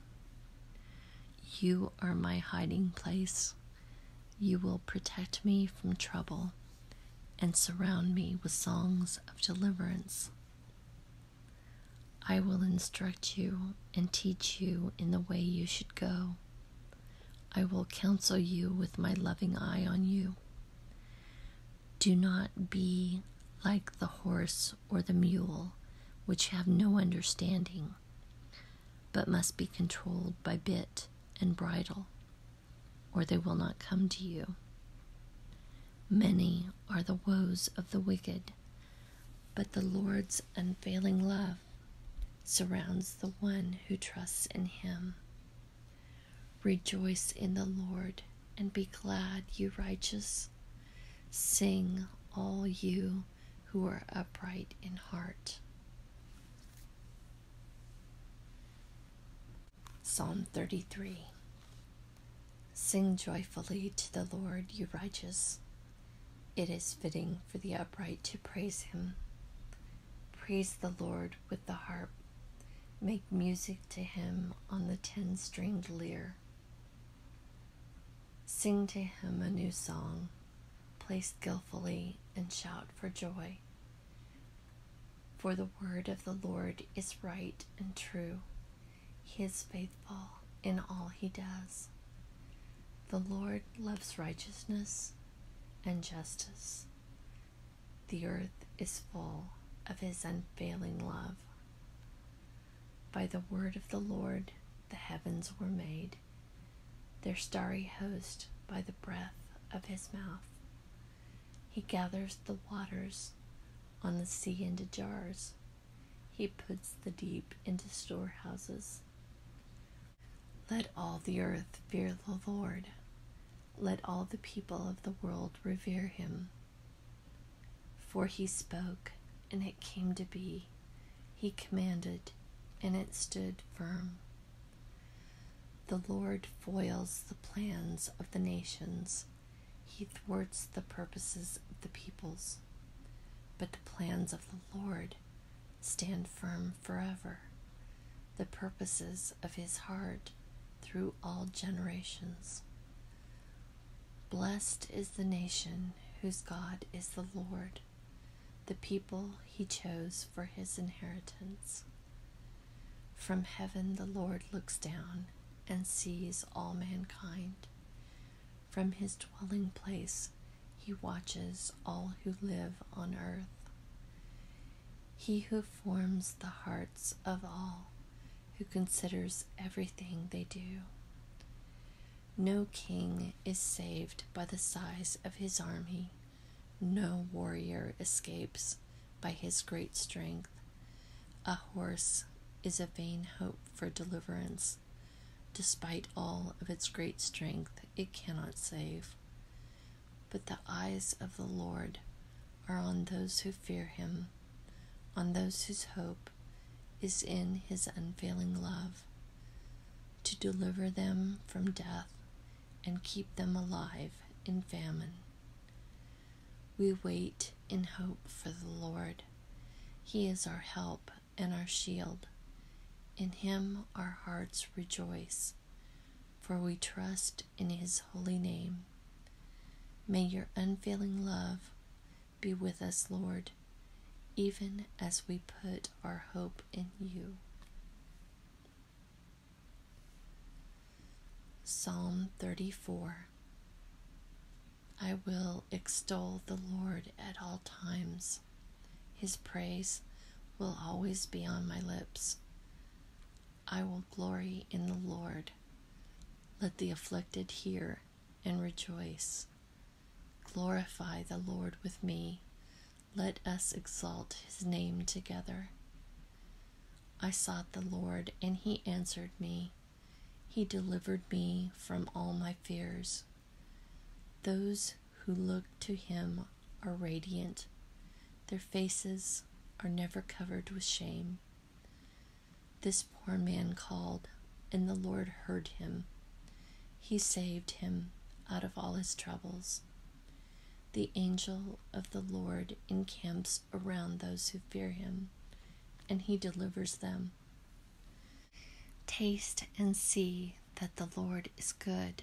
You are my hiding place. You will protect me from trouble and surround me with songs of deliverance. I will instruct you and teach you in the way you should go. I will counsel you with my loving eye on you. Do not be like the horse or the mule, which have no understanding, but must be controlled by bit and bridle, or they will not come to you. Many are the woes of the wicked, but the Lord's unfailing love surrounds the one who trusts in him. Rejoice in the Lord and be glad, you righteous. Sing, all you who are upright in heart. Psalm 33 Sing joyfully to the Lord, you righteous. It is fitting for the upright to praise him. Praise the Lord with the harp. Make music to him on the ten stringed lyre. Sing to him a new song. Play skillfully and shout for joy. For the word of the Lord is right and true. He is faithful in all he does. The Lord loves righteousness and justice. The earth is full of his unfailing love. By the word of the Lord, the heavens were made, their starry host by the breath of his mouth. He gathers the waters on the sea into jars, he puts the deep into storehouses. Let all the earth fear the Lord. Let all the people of the world revere him. For he spoke, and it came to be. He commanded, and it stood firm. The Lord foils the plans of the nations, he thwarts the purposes of the peoples. But the plans of the Lord stand firm forever, the purposes of his heart through all generations. Blessed is the nation whose God is the Lord, the people he chose for his inheritance. From heaven the Lord looks down and sees all mankind. From his dwelling place he watches all who live on earth. He who forms the hearts of all, who considers everything they do. No king is saved by the size of his army, no warrior escapes by his great strength. A horse is a vain hope for deliverance. Despite all of its great strength, it cannot save. But the eyes of the Lord are on those who fear him, on those whose hope is in his unfailing love, to deliver them from death and keep them alive in famine. We wait in hope for the Lord. He is our help and our shield. In him our hearts rejoice for we trust in his holy name. May your unfailing love be with us, Lord, even as we put our hope in you. Psalm 34 I will extol the Lord at all times. His praise will always be on my lips. I will glory in the Lord. Let the afflicted hear and rejoice. Glorify the Lord with me. Let us exalt his name together. I sought the Lord, and he answered me. He delivered me from all my fears. Those who look to him are radiant, their faces are never covered with shame. This poor man called, and the Lord heard him. He saved him out of all his troubles. The angel of the Lord encamps around those who fear him, and he delivers them. Taste and see that the Lord is good.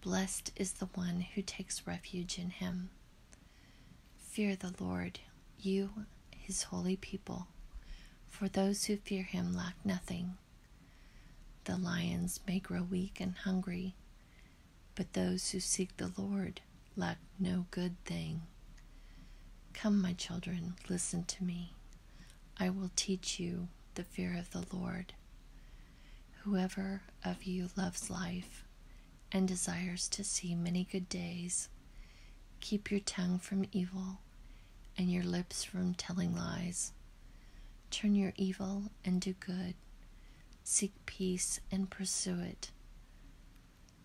Blessed is the one who takes refuge in him. Fear the Lord, you, his holy people, for those who fear him lack nothing. The lions may grow weak and hungry, but those who seek the Lord lack no good thing. Come, my children, listen to me. I will teach you the fear of the Lord. Whoever of you loves life and desires to see many good days, keep your tongue from evil and your lips from telling lies. Turn your evil and do good. Seek peace and pursue it.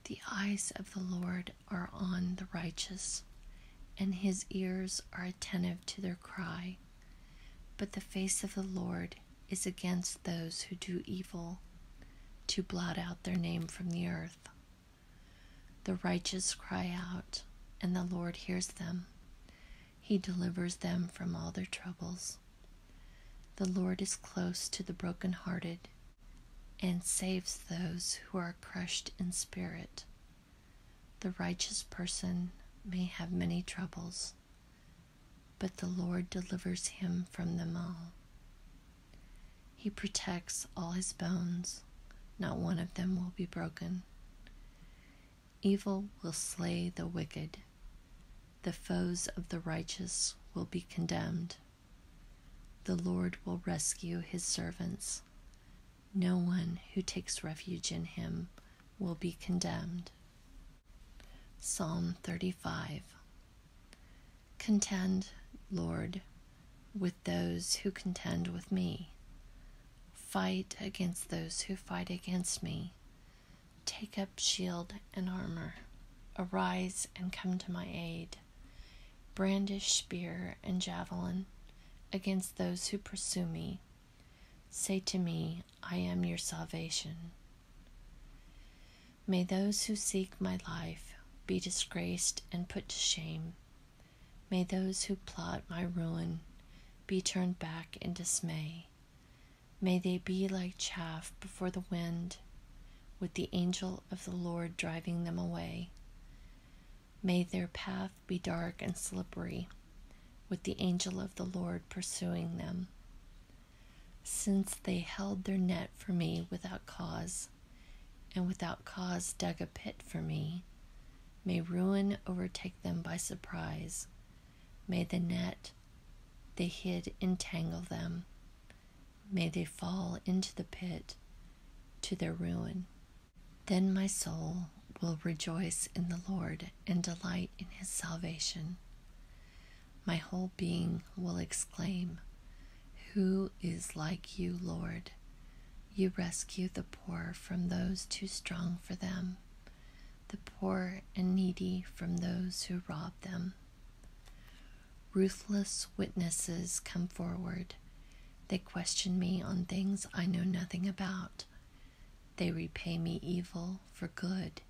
The eyes of the Lord are on the righteous, and his ears are attentive to their cry. But the face of the Lord is against those who do evil to blot out their name from the earth. The righteous cry out, and the Lord hears them. He delivers them from all their troubles. The Lord is close to the broken-hearted, and saves those who are crushed in spirit. The righteous person may have many troubles, but the Lord delivers him from them all. He protects all his bones, not one of them will be broken. Evil will slay the wicked, the foes of the righteous will be condemned. The Lord will rescue his servants. No one who takes refuge in him will be condemned. Psalm 35 Contend, Lord, with those who contend with me. Fight against those who fight against me. Take up shield and armor. Arise and come to my aid. Brandish spear and javelin against those who pursue me. Say to me, I am your salvation. May those who seek my life be disgraced and put to shame. May those who plot my ruin be turned back in dismay. May they be like chaff before the wind, with the angel of the Lord driving them away. May their path be dark and slippery, with the angel of the Lord pursuing them, since they held their net for me without cause, and without cause dug a pit for me. May ruin overtake them by surprise. May the net they hid entangle them. May they fall into the pit to their ruin. Then my soul will rejoice in the Lord and delight in his salvation. My whole being will exclaim, Who is like you, Lord? You rescue the poor from those too strong for them, the poor and needy from those who rob them. Ruthless witnesses come forward. They question me on things I know nothing about. They repay me evil for good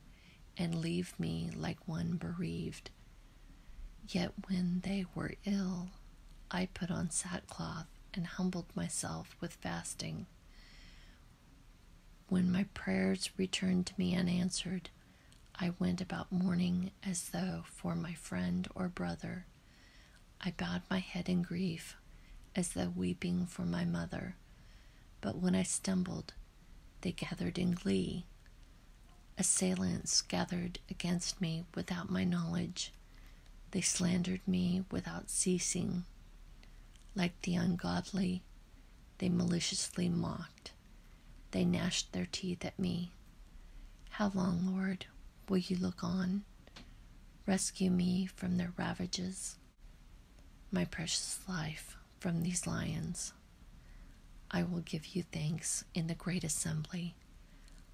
and leave me like one bereaved. Yet when they were ill, I put on sackcloth and humbled myself with fasting. When my prayers returned to me unanswered, I went about mourning as though for my friend or brother. I bowed my head in grief, as though weeping for my mother. But when I stumbled, they gathered in glee. Assailants gathered against me without my knowledge. They slandered me without ceasing. Like the ungodly, they maliciously mocked. They gnashed their teeth at me. How long, Lord, will you look on? Rescue me from their ravages my precious life from these lions. I will give you thanks in the great assembly.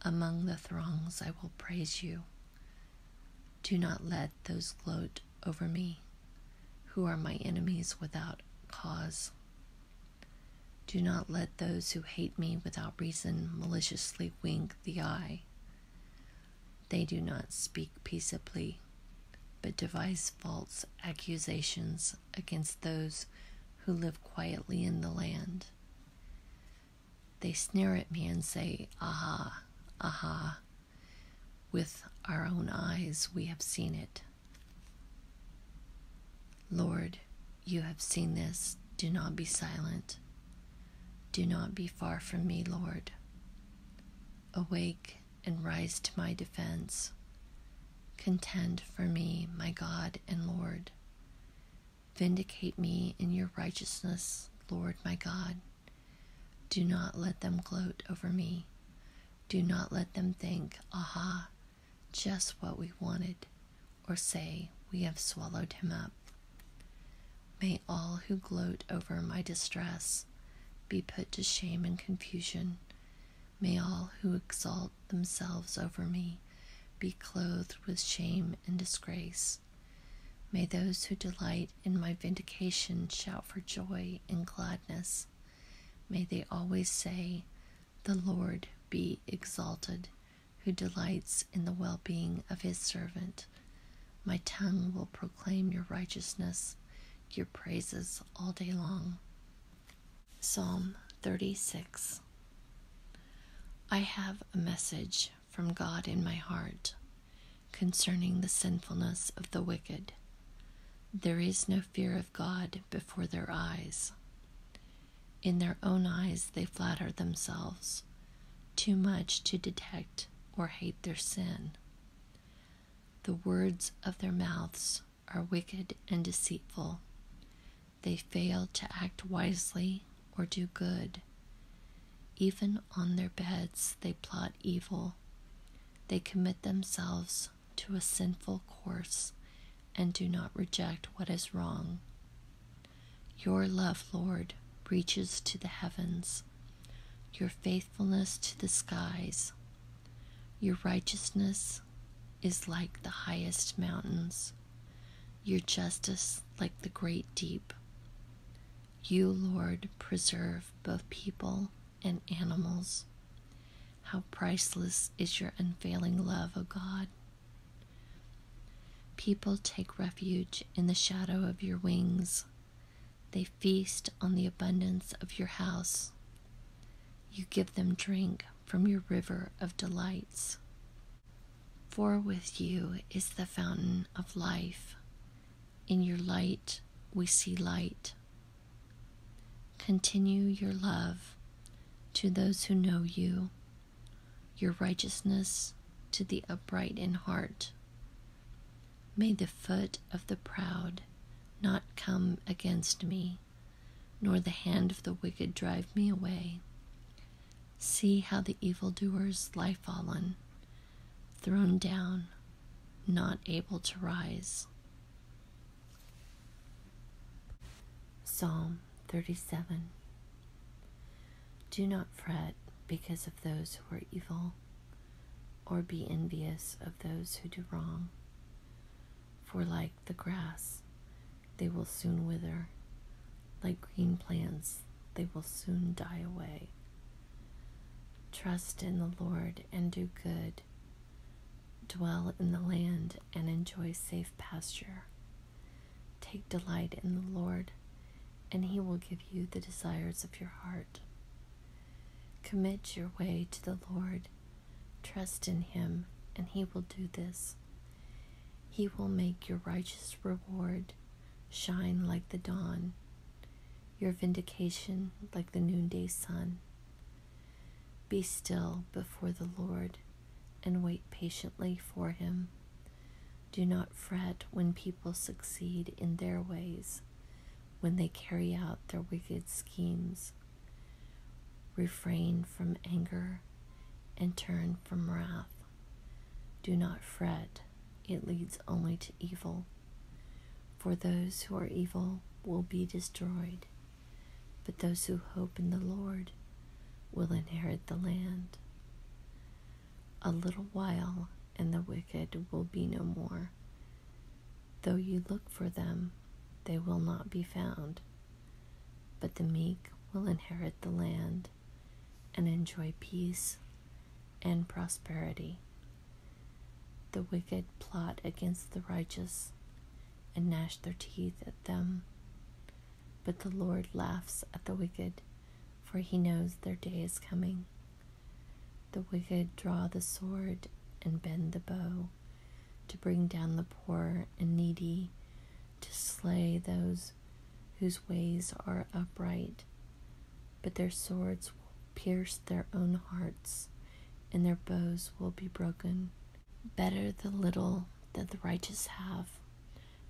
Among the throngs, I will praise you. Do not let those gloat over me, who are my enemies without cause. Do not let those who hate me without reason maliciously wink the eye. They do not speak peaceably, but devise false accusations against those who live quietly in the land. They sneer at me and say, Aha, aha. With our own eyes we have seen it. Lord, you have seen this. Do not be silent. Do not be far from me, Lord. Awake and rise to my defense. Contend for me, my God and Lord. Vindicate me in your righteousness, Lord my God. Do not let them gloat over me. Do not let them think, aha, just what we wanted, or say, we have swallowed him up. May all who gloat over my distress be put to shame and confusion. May all who exalt themselves over me be clothed with shame and disgrace. May those who delight in my vindication shout for joy and gladness. May they always say, The Lord be exalted, who delights in the well being of his servant. My tongue will proclaim your righteousness, your praises all day long. Psalm 36 I have a message from God in my heart concerning the sinfulness of the wicked. There is no fear of God before their eyes. In their own eyes, they flatter themselves too much to detect or hate their sin. The words of their mouths are wicked and deceitful. They fail to act wisely or do good. Even on their beds, they plot evil. They commit themselves to a sinful course and do not reject what is wrong. Your love, Lord, reaches to the heavens, your faithfulness to the skies. Your righteousness is like the highest mountains, your justice like the great deep. You, Lord, preserve both people and animals. How priceless is your unfailing love, O God. People take refuge in the shadow of your wings. They feast on the abundance of your house. You give them drink from your river of delights. For with you is the fountain of life. In your light we see light. Continue your love to those who know you, your righteousness to the upright in heart. May the foot of the proud not come against me, nor the hand of the wicked drive me away. See how the evildoers lie fallen, thrown down, not able to rise. Psalm 37 Do not fret because of those who are evil, or be envious of those who do wrong. For like the grass, they will soon wither, like green plants, they will soon die away. Trust in the Lord and do good. Dwell in the land and enjoy safe pasture. Take delight in the Lord, and he will give you the desires of your heart. Commit your way to the Lord. Trust in Him, and He will do this. He will make your righteous reward shine like the dawn, your vindication like the noonday sun. Be still before the Lord and wait patiently for Him. Do not fret when people succeed in their ways when they carry out their wicked schemes. Refrain from anger and turn from wrath. Do not fret, it leads only to evil. For those who are evil will be destroyed, but those who hope in the Lord will inherit the land. A little while, and the wicked will be no more. Though you look for them, they will not be found. But the meek will inherit the land and enjoy peace and prosperity. The wicked plot against the righteous and gnash their teeth at them. But the Lord laughs at the wicked, for he knows their day is coming. The wicked draw the sword and bend the bow to bring down the poor and needy, to slay those whose ways are upright. But their swords will pierce their own hearts, and their bows will be broken. Better the little that the righteous have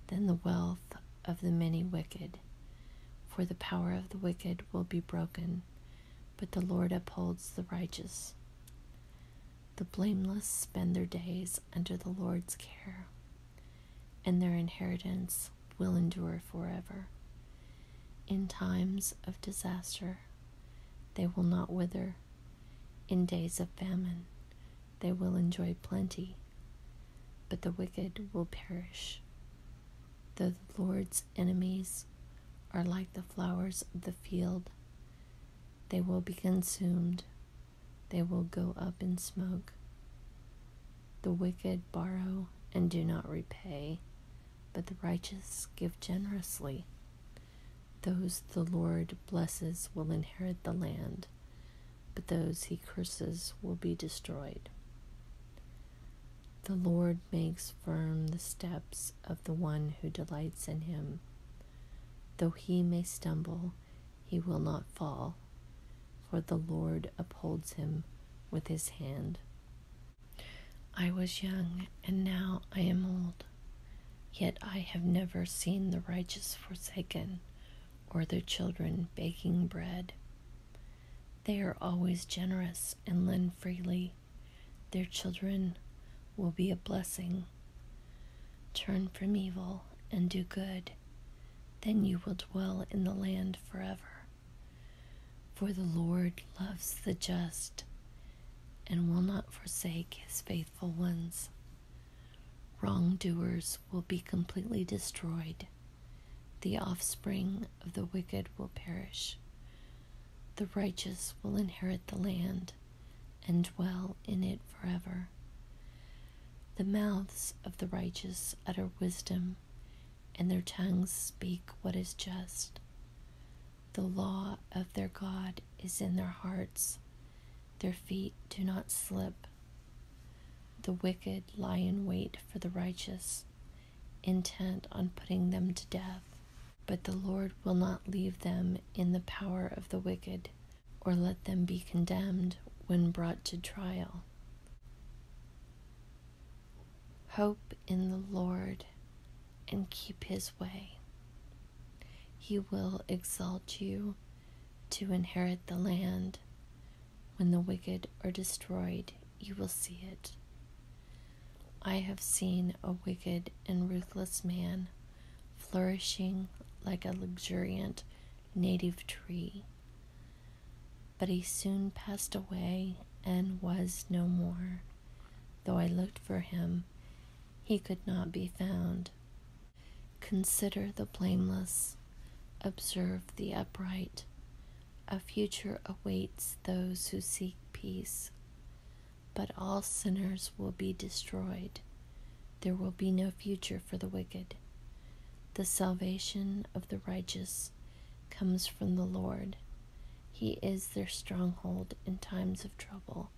than the wealth of the many wicked, for the power of the wicked will be broken, but the Lord upholds the righteous. The blameless spend their days under the Lord's care, and their inheritance will endure forever. In times of disaster, they will not wither. In days of famine, they will enjoy plenty, but the wicked will perish. the Lord's enemies are like the flowers of the field. They will be consumed, they will go up in smoke. The wicked borrow and do not repay, but the righteous give generously. Those the Lord blesses will inherit the land, but those he curses will be destroyed. The Lord makes firm the steps of the one who delights in him. Though he may stumble, he will not fall, for the Lord upholds him with his hand. I was young, and now I am old, yet I have never seen the righteous forsaken, or their children begging bread. They are always generous and lend freely their children will be a blessing. Turn from evil and do good, then you will dwell in the land forever. For the Lord loves the just and will not forsake his faithful ones. Wrongdoers will be completely destroyed. The offspring of the wicked will perish. The righteous will inherit the land and dwell in it forever. The mouths of the righteous utter wisdom, and their tongues speak what is just. The law of their God is in their hearts, their feet do not slip. The wicked lie in wait for the righteous, intent on putting them to death. But the Lord will not leave them in the power of the wicked, or let them be condemned when brought to trial. Hope in the Lord and keep his way. He will exalt you to inherit the land. When the wicked are destroyed, you will see it. I have seen a wicked and ruthless man flourishing like a luxuriant native tree. But he soon passed away and was no more. Though I looked for him, he could not be found. Consider the blameless, observe the upright. A future awaits those who seek peace but all sinners will be destroyed. There will be no future for the wicked. The salvation of the righteous comes from the Lord. He is their stronghold in times of trouble.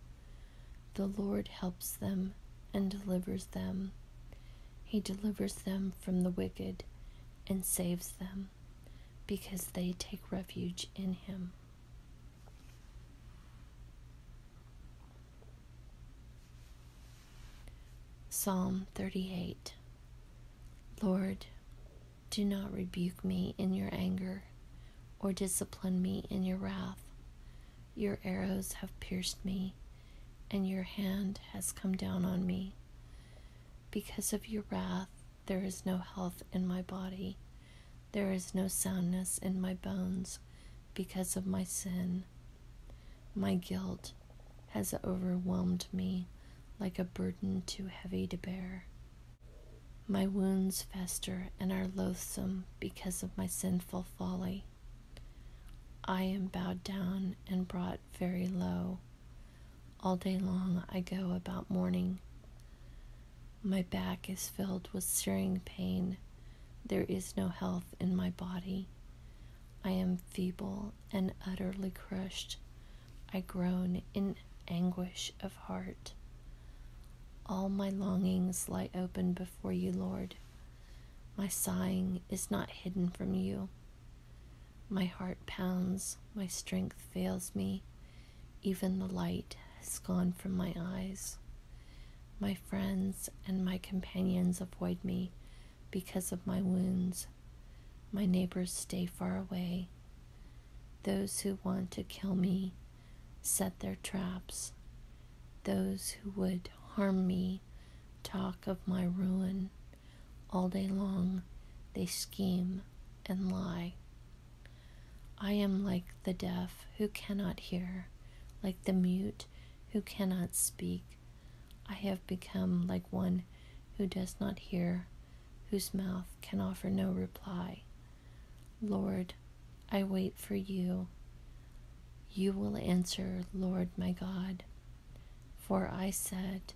The Lord helps them and delivers them. He delivers them from the wicked and saves them because they take refuge in him. Psalm 38 Lord, do not rebuke me in your anger, or discipline me in your wrath. Your arrows have pierced me, and your hand has come down on me. Because of your wrath, there is no health in my body. There is no soundness in my bones because of my sin. My guilt has overwhelmed me like a burden too heavy to bear. My wounds fester and are loathsome because of my sinful folly. I am bowed down and brought very low. All day long I go about mourning. My back is filled with searing pain. There is no health in my body. I am feeble and utterly crushed. I groan in anguish of heart. All my longings lie open before you, Lord. My sighing is not hidden from you. My heart pounds, my strength fails me, even the light has gone from my eyes. My friends and my companions avoid me because of my wounds. My neighbors stay far away. Those who want to kill me set their traps. Those who would harm me talk of my ruin. All day long they scheme and lie. I am like the deaf who cannot hear, like the mute who cannot speak. I have become like one who does not hear, whose mouth can offer no reply. Lord, I wait for you. You will answer, Lord my God. For I said,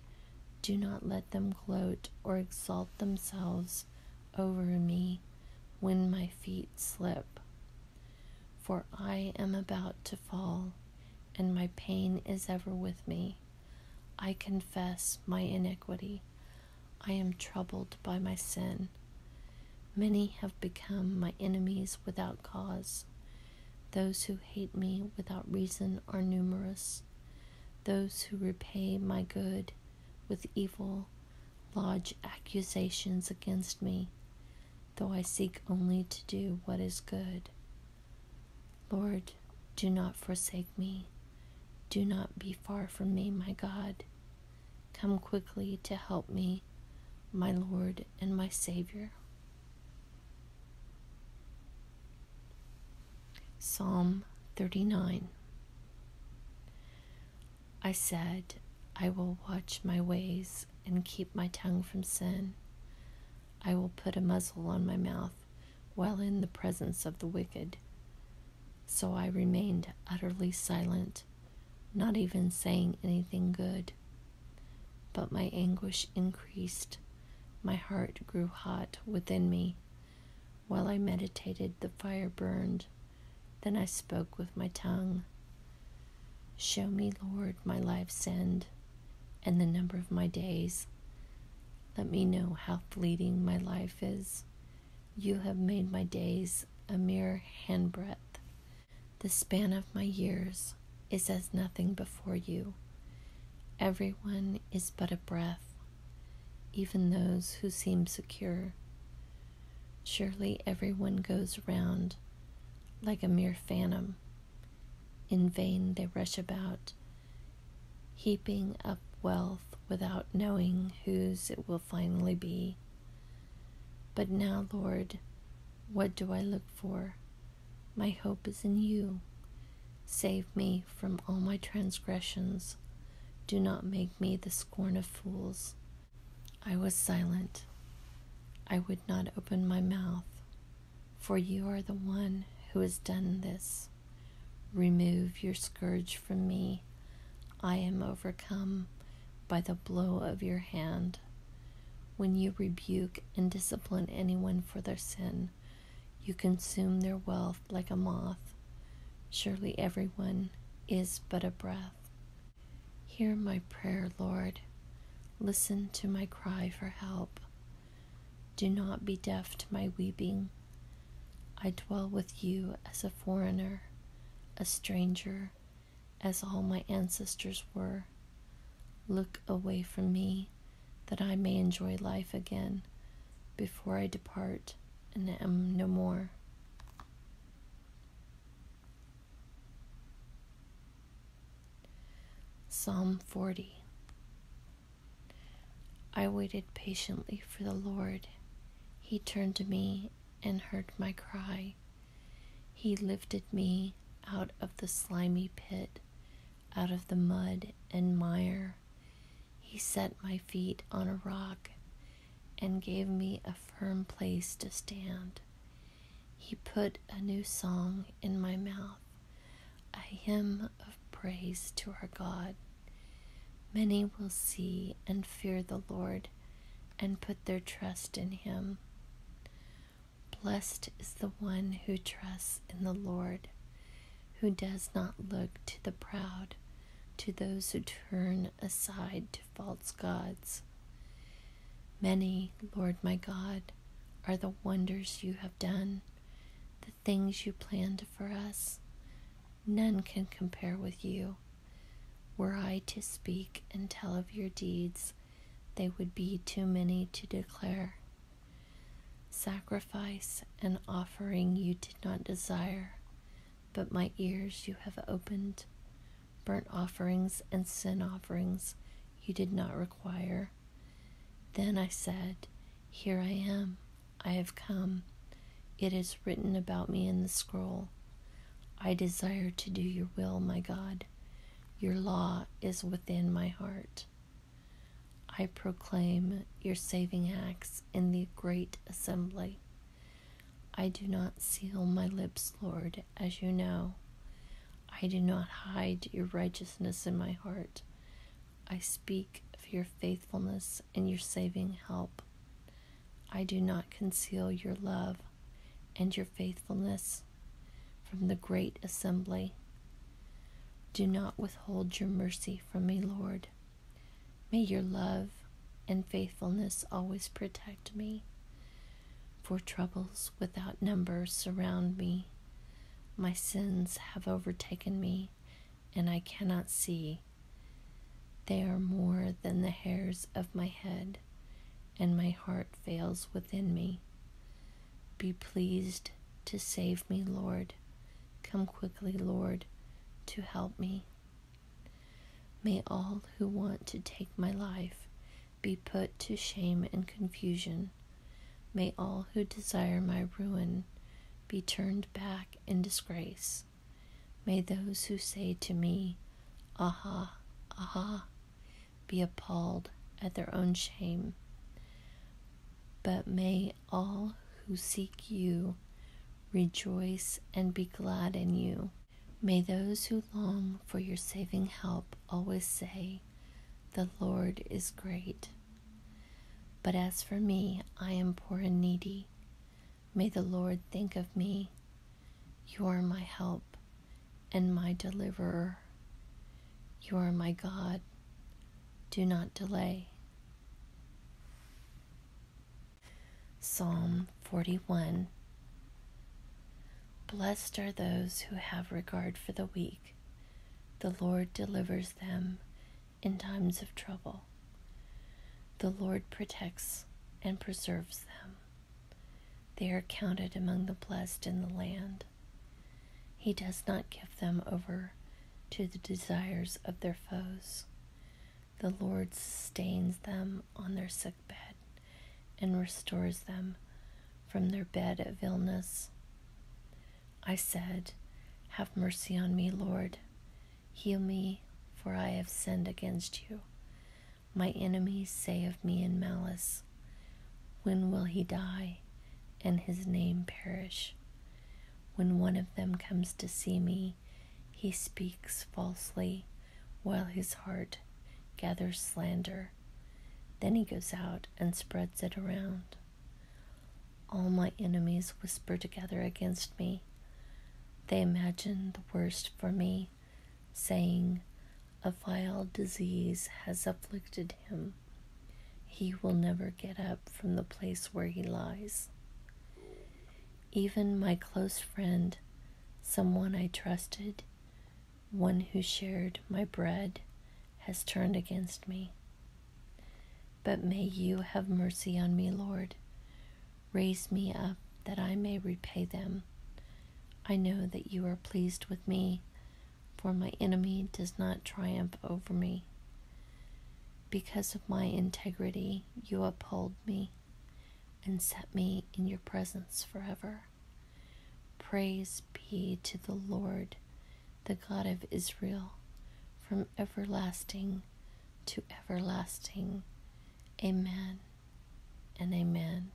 Do not let them gloat or exalt themselves over me when my feet slip. For I am about to fall, and my pain is ever with me. I confess my iniquity. I am troubled by my sin. Many have become my enemies without cause. Those who hate me without reason are numerous. Those who repay my good with evil, lodge accusations against me, though I seek only to do what is good. Lord, do not forsake me. Do not be far from me, my God. Come quickly to help me, my Lord and my Savior. Psalm 39 I said, I will watch my ways and keep my tongue from sin. I will put a muzzle on my mouth while in the presence of the wicked. So I remained utterly silent, not even saying anything good. But my anguish increased, my heart grew hot within me while I meditated, the fire burned. Then I spoke with my tongue. Show me, Lord, my life's end and the number of my days. Let me know how fleeting my life is. You have made my days a mere handbreadth. The span of my years is as nothing before you. Everyone is but a breath even those who seem secure. Surely every one goes round like a mere phantom. In vain they rush about, heaping up wealth without knowing whose it will finally be. But now, Lord, what do I look for? My hope is in you. Save me from all my transgressions. Do not make me the scorn of fools. I was silent. I would not open my mouth, for you are the one who has done this. Remove your scourge from me. I am overcome by the blow of your hand. When you rebuke and discipline anyone for their sin, you consume their wealth like a moth. Surely everyone is but a breath. Hear my prayer, Lord. Listen to my cry for help. Do not be deaf to my weeping. I dwell with you as a foreigner, a stranger, as all my ancestors were. Look away from me, that I may enjoy life again, before I depart and am no more. Psalm 40 I waited patiently for the Lord. He turned to me and heard my cry. He lifted me out of the slimy pit, out of the mud and mire. He set my feet on a rock and gave me a firm place to stand. He put a new song in my mouth, a hymn of praise to our God. Many will see and fear the Lord and put their trust in him. Blessed is the one who trusts in the Lord, who does not look to the proud, to those who turn aside to false gods. Many, Lord my God, are the wonders you have done, the things you planned for us. None can compare with you. Were I to speak and tell of your deeds, they would be too many to declare. Sacrifice and offering you did not desire, but my ears you have opened. Burnt offerings and sin offerings you did not require. Then I said, Here I am, I have come. It is written about me in the scroll. I desire to do your will, my God. Your law is within my heart. I proclaim your saving acts in the great assembly. I do not seal my lips, Lord, as you know. I do not hide your righteousness in my heart. I speak of your faithfulness and your saving help. I do not conceal your love and your faithfulness from the great assembly. Do not withhold your mercy from me, Lord. May your love and faithfulness always protect me, for troubles without number surround me. My sins have overtaken me, and I cannot see. They are more than the hairs of my head, and my heart fails within me. Be pleased to save me, Lord. Come quickly, Lord, to help me. May all who want to take my life be put to shame and confusion. May all who desire my ruin be turned back in disgrace. May those who say to me, Aha, aha, be appalled at their own shame. But may all who seek you Rejoice and be glad in you. May those who long for your saving help always say, The Lord is great. But as for me, I am poor and needy. May the Lord think of me. You are my help and my deliverer. You are my God. Do not delay. Psalm 41 Blessed are those who have regard for the weak. The Lord delivers them in times of trouble. The Lord protects and preserves them. They are counted among the blessed in the land. He does not give them over to the desires of their foes, the Lord sustains them on their sick bed and restores them from their bed of illness. I said, Have mercy on me, Lord. Heal me, for I have sinned against you. My enemies say of me in malice, When will he die and his name perish? When one of them comes to see me, he speaks falsely while his heart gathers slander. Then he goes out and spreads it around. All my enemies whisper together against me. They imagine the worst for me, saying, A vile disease has afflicted him. He will never get up from the place where he lies even my close friend, someone I trusted, one who shared my bread, has turned against me. But may you have mercy on me, Lord. Raise me up that I may repay them. I know that you are pleased with me, for my enemy does not triumph over me. Because of my integrity, you uphold me and set me in your presence forever. Praise be to the Lord, the God of Israel, from everlasting to everlasting. Amen and amen.